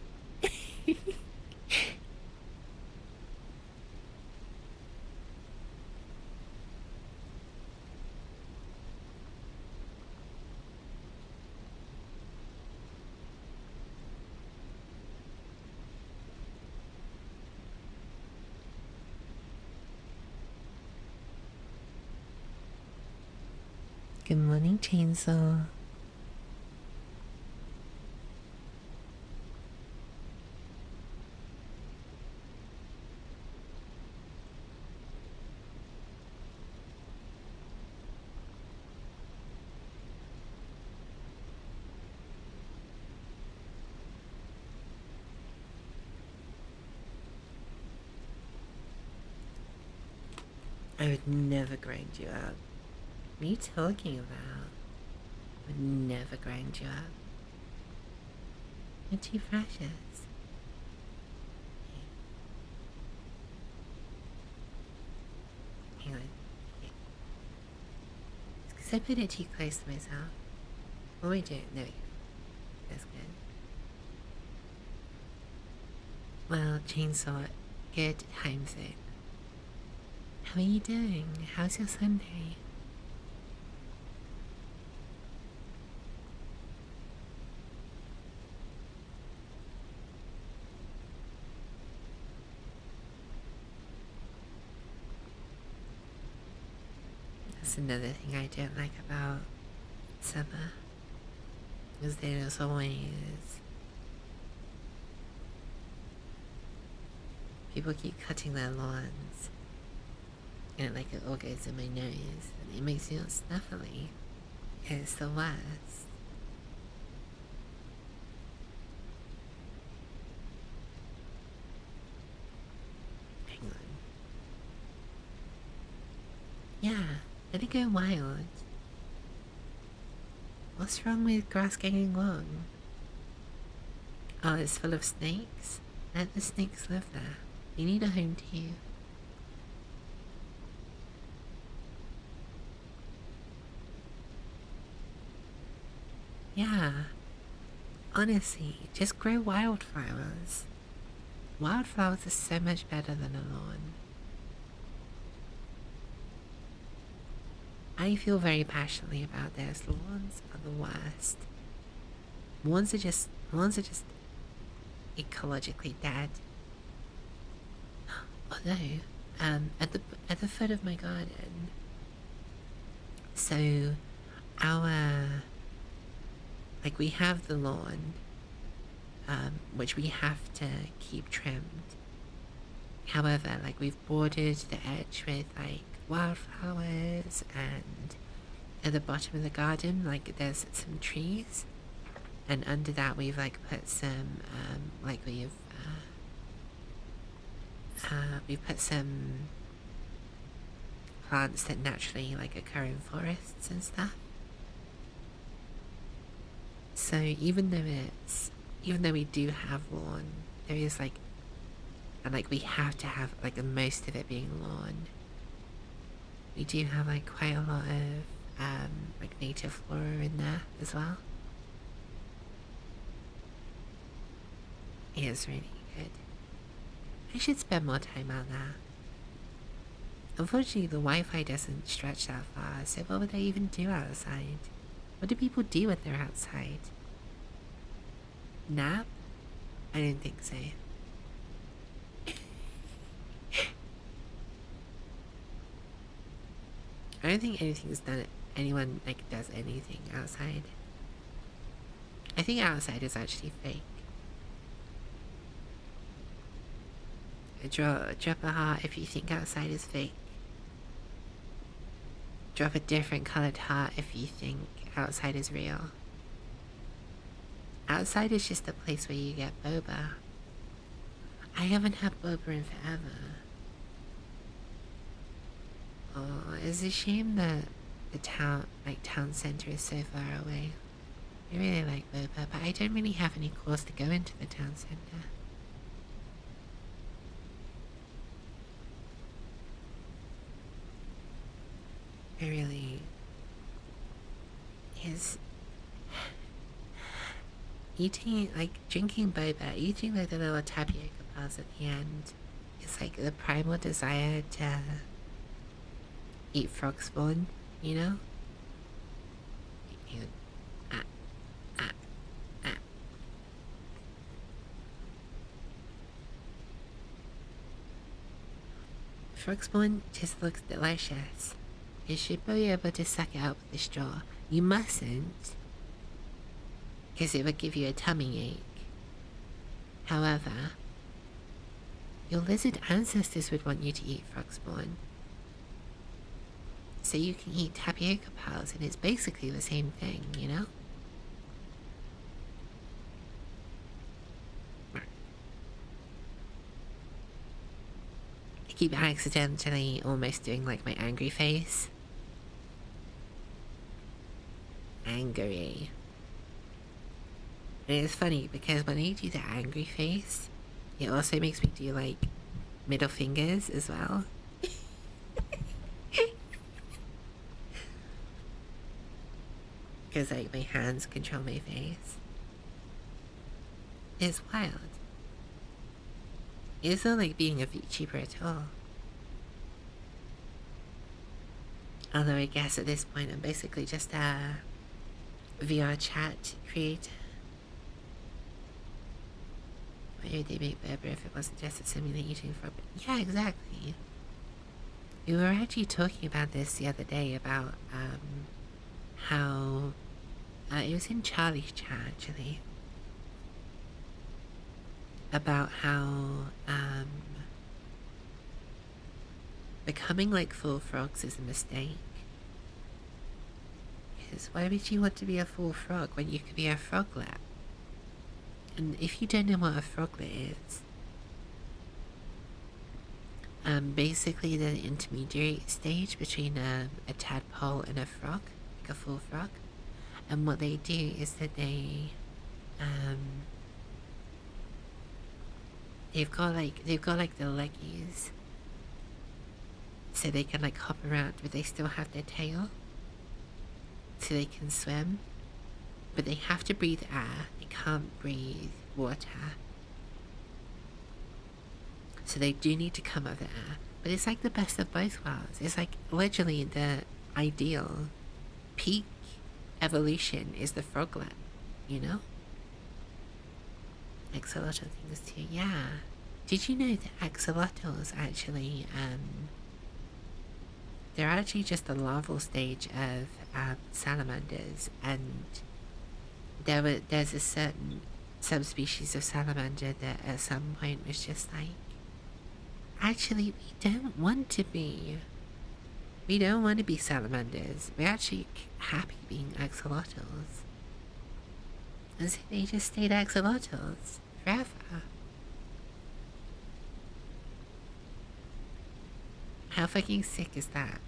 Good morning, Chainsaw. I would never grind you up. What are you talking about? I would never grind you up. You're too precious. Hang on. It's because I put it too close to myself. What we doing? That's good. Well, chainsaw, good times it. How are you doing? How's your Sunday? That's another thing I do not like about Summer. Is they don't People keep cutting their lawns. And like it all goes in my nose. And it makes me all snuffly. it's the worst. Hang on. Yeah, let it go wild. What's wrong with grass getting long? Oh, it's full of snakes? Let the snakes live there. They need a home too. Yeah, Honestly, just grow wildflowers. Wildflowers are so much better than a lawn. I feel very passionately about this. Lawns are the worst. Lawns are just lawns are just ecologically dead. Although, um, at the at the foot of my garden, so, our like we have the lawn, um, which we have to keep trimmed. However, like we've bordered the edge with like wildflowers, and at the bottom of the garden, like there's some trees, and under that we've like put some um, like we've uh, uh, we put some plants that naturally like occur in forests and stuff. So even though it's even though we do have lawn, there is like and like we have to have like most of it being lawn. We do have like quite a lot of um, like native flora in there as well. It is really good. I should spend more time out there. Unfortunately, the Wi-Fi doesn't stretch that far, so what would I even do outside? What do people do when they're outside? Nap? I don't think so. I don't think anything's done anyone like does anything outside. I think outside is actually fake. Drop, drop a heart if you think outside is fake. Drop a different colored heart if you think outside is real. Outside is just the place where you get boba. I haven't had boba in forever. Oh, it's a shame that the town, like town center, is so far away. I really like Boba, but I don't really have any calls to go into the town center. I really. is Eating, like, drinking boba, eating like the little tapioca bars at the end, it's like the primal desire to eat frog's bone, you know? Ah, ah, ah. Frog's bone just looks delicious. You should be able to suck it out with a straw. You mustn't, because it would give you a tummy ache. However, your lizard ancestors would want you to eat frogs, frogsporn. So you can eat tapioca pearls, and it's basically the same thing, you know? I keep accidentally almost doing like my angry face. Angry it's funny because when I do the angry face, it also makes me do like middle fingers as well. Because like my hands control my face. It's wild. It's not like being a VTuber at all. Although I guess at this point I'm basically just a VR chat creator. Why would they make if it wasn't just a simulated for Yeah, exactly. We were actually talking about this the other day about um, how uh, it was in Charlie's chat actually about how um, Becoming like full frogs is a mistake. Because why would you want to be a full frog when you could be a froglet? And if you don't know what a froglet is, um, basically the intermediate stage between um, a tadpole and a frog, like a full frog. And what they do is that they um, They've got like they've got like the leggies. So they can like hop around but they still have their tail. So they can swim. But they have to breathe air. They can't breathe water. So they do need to come over air. But it's like the best of both worlds. It's like literally the ideal peak evolution is the froglet, you know? Axolotl things too, yeah. Did you know that axolotls actually, um, they're actually just the larval stage of um, salamanders, and there were there's a certain species of salamander that at some point was just like, actually, we don't want to be we don't want to be salamanders. We're actually happy being axolotls. And so they just stayed axolotls forever. How fucking sick is that?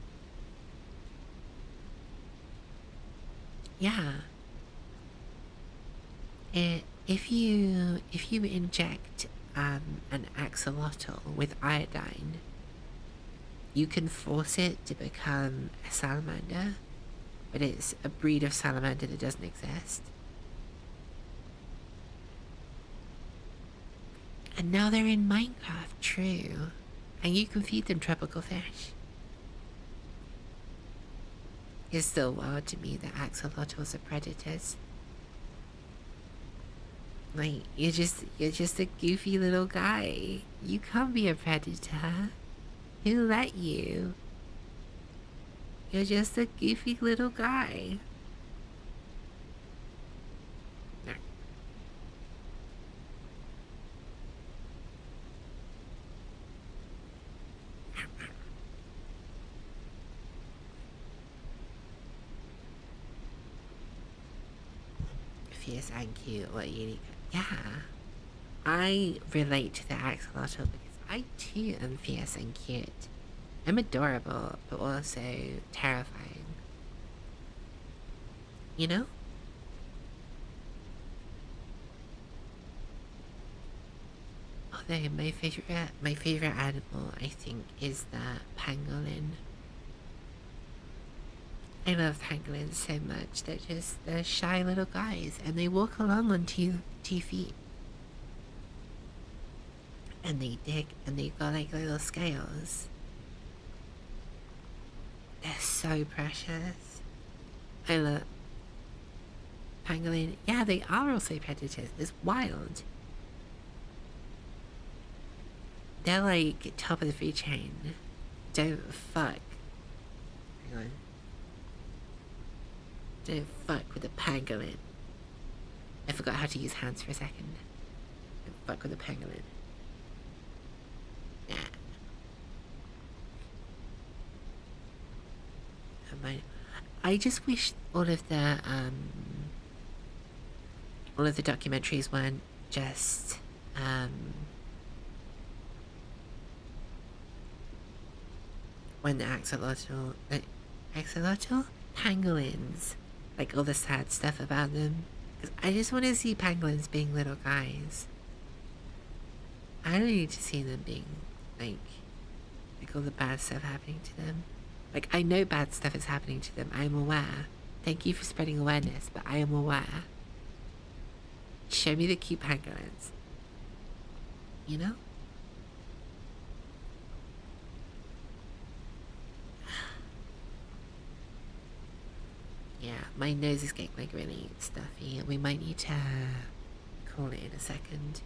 Yeah. It, uh, if you if you inject um, an axolotl with iodine, you can force it to become a salamander, but it's a breed of salamander that doesn't exist. And now they're in Minecraft, true. And you can feed them tropical fish. It's so wild to me that axolotls are predators. Like, you're just, you're just a goofy little guy. You can't be a predator. Who let you? You're just a goofy little guy. Fierce and cute, or unique. Yeah. I relate to the axolotl because I too am fierce and cute. I'm adorable, but also terrifying. You know? Although my favorite, my favorite animal, I think, is that pangolin. I love pangolins so much. They're just they're shy little guys, and they walk along on two two feet, and they dig, and they've got like little scales. They're so precious. I love pangolin. Yeah, they are also predators wild. They're like top of the food chain. Don't fuck. Hang on. Don't fuck with the pangolin. I forgot how to use hands for a second. Don't fuck with the pangolin. Nah. I just wish all of the um, all of the documentaries weren't just um, when the axolotl, the axolotl pangolins, like all the sad stuff about them. I just want to see pangolins being little guys. I don't need to see them being like, like all the bad stuff happening to them. Like, I know bad stuff is happening to them. I am aware. Thank you for spreading awareness, but I am aware. Show me the cute pangolins. You know? Yeah, my nose is getting like really stuffy. and We might need to call it in a second.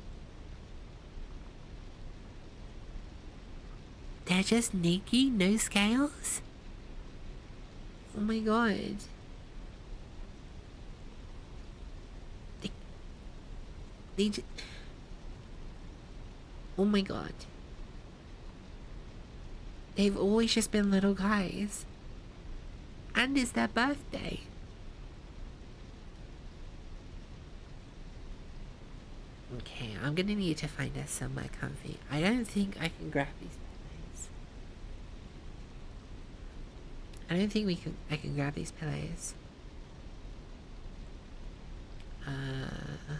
They're just naked, no scales? Oh my god. They, Oh my god. They've always just been little guys. And it's their birthday. Okay, I'm gonna need to find us somewhere comfy. I don't think I can grab these pillows. I don't think we can. I can grab these pillows. Uh.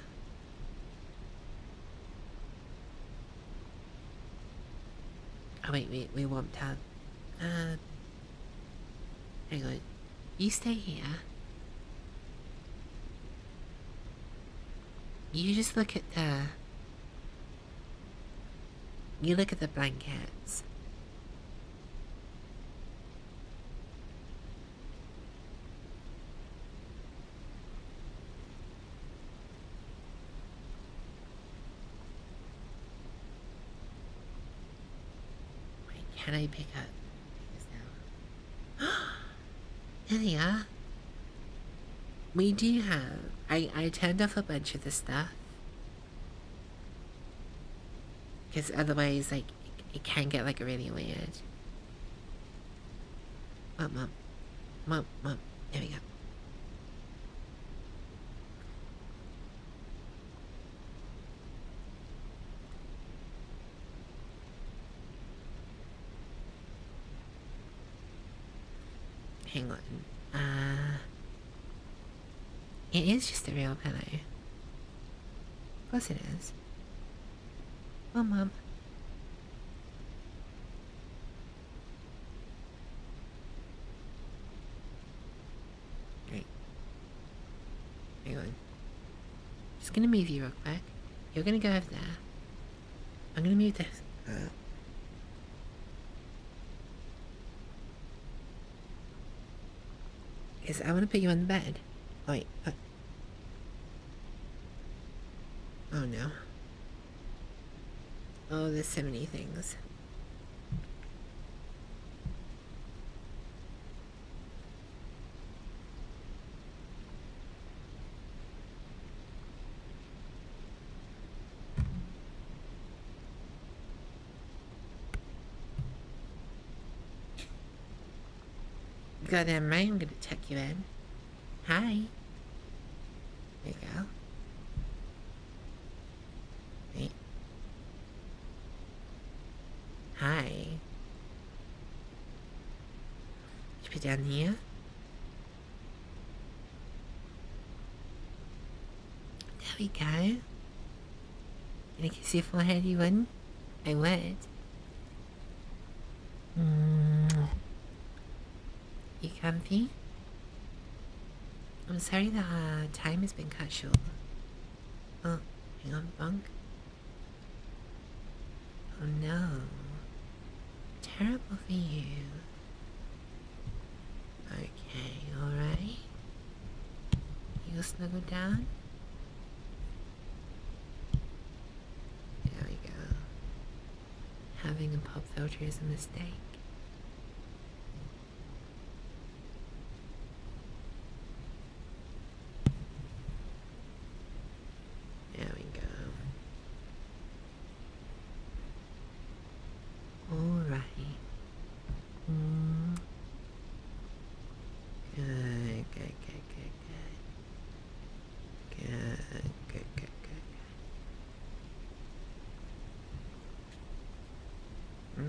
Oh wait, we we want to. Um. Hang on. You stay here. You just look at the. You look at the blankets. can I pick up? there We do have. I, I turned off a bunch of the stuff. Because otherwise, like, it, it can get, like, really weird. Mom, mom. Mom, mom. There we go. Hang on. Uh, it is just a real pillow. Of course it is. Well, Mum. Great. Hang on on. gonna move you real quick. You're gonna go over there. I'm gonna move this up. Because I want to put you on the bed. wait. Oh no. Oh, there's so many things. Goddamn right, I'm gonna check you in. Hi. There you go. Hi. Could be down here. There we go. Gonna kiss your forehead, you wouldn't? I would. Mm. You comfy? I'm sorry the uh, time has been cut short. Oh, hang on, bunk. Oh no. Terrible for you. Okay, alright. You snuggle down. There we go. Having a pub filter is a mistake. There we go. Alright. Mm. Good, good, good, good, good. Good, good, good, good, hmm?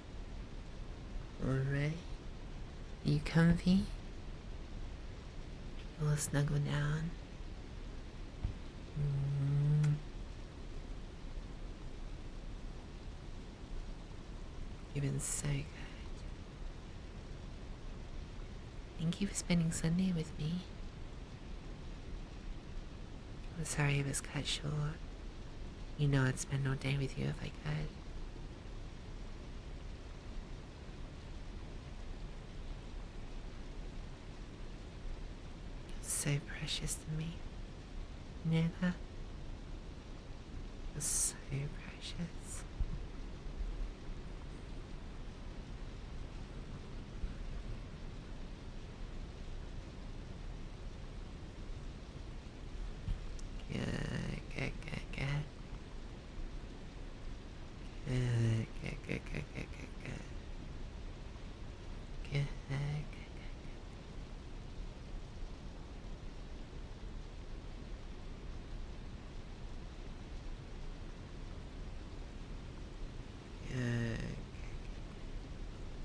Alright, You comfy? We'll snuggle down. Mm-hmm. You've been so Thank you for spending Sunday with me. I'm sorry it was cut short. You know I'd spend all day with you if I could. So precious to me. You So precious.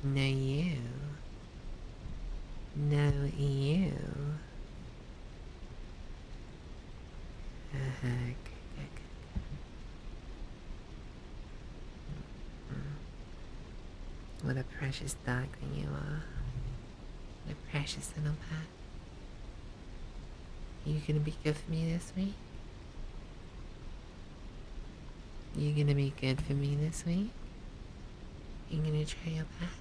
Now you no, you. Uh-huh. What a precious dog you are. What a precious little pet. You gonna be good for me this week? You gonna be good for me this week? You gonna try your best?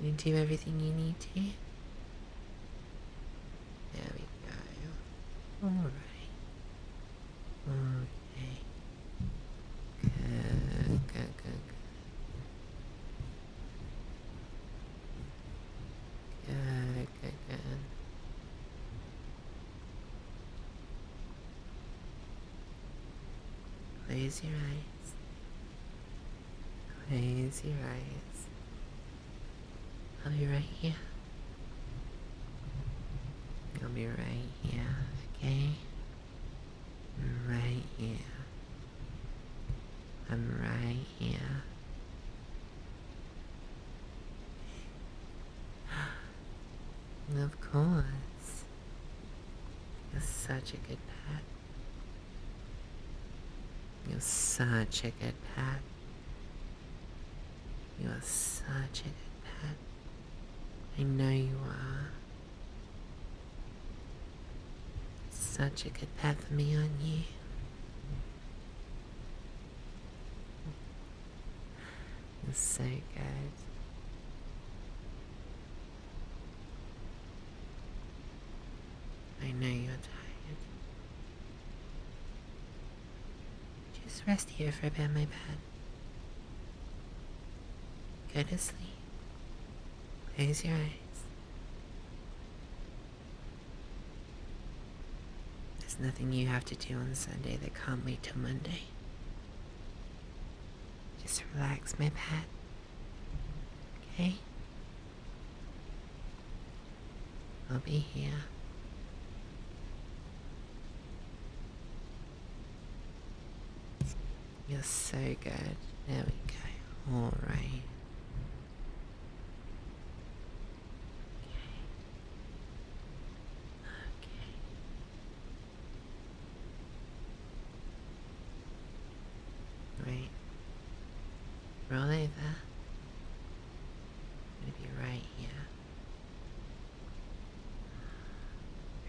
you do everything you need to? There we go. Alright. Okay. Good, good, good, good. Good, good, Close your eyes. Close your eyes. I'll be right here. I'll be right here, okay? Right here. I'm right here. Of course. You're such a good pet. You're such a good pet. You are such a good pet. I know you are. Such a good pet for me, on you? so good. I know you're tired. Just rest here for a bit, my pet. Go to sleep. Close your eyes. There's nothing you have to do on Sunday that can't wait till Monday. Just relax, my pet. Okay? I'll be here. You're so good. There we go. All right. Okay. Okay. Right. Really that? Gonna be right here.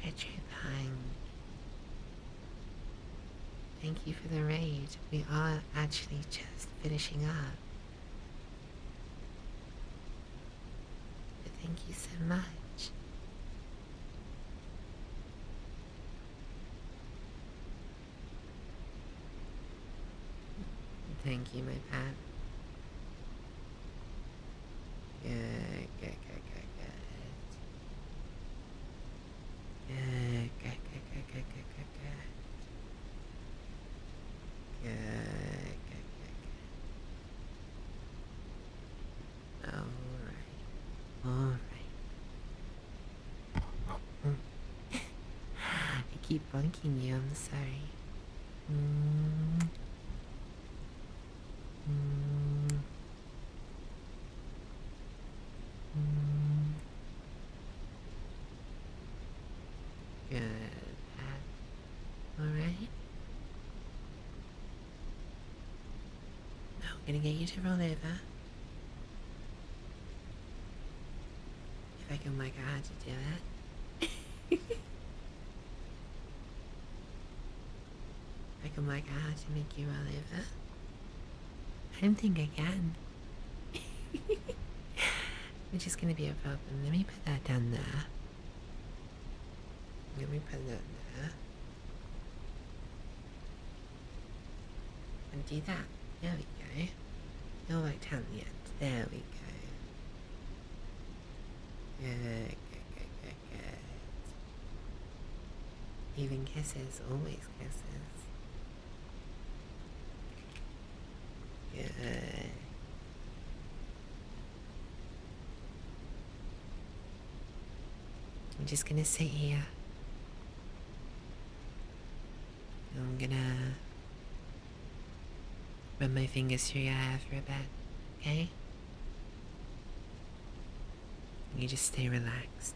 Richard Hang. Thank you for the raid. We are actually just finishing up. thank you so much. Thank you, my pet. Good, good, good, good, good. Good, good, good, good, good, good, good, good. Good, good, good, good. All right. All right. I keep bunking you. I'm sorry. Good. All right. I'm gonna get you to roll over. If I can work out to do that. If I can work out how to make you roll over. I don't think I can. It's just going to be a problem. Let me put that down there. Let me put that there. And do that. There we go. You're rectangular. There we go. Good, good, good, good, good. Even kisses, always kisses. Good. I'm just gonna sit here. I'm gonna run my fingers through your hair for a bit, okay? You just stay relaxed.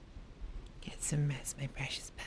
Get some rest, my precious pet.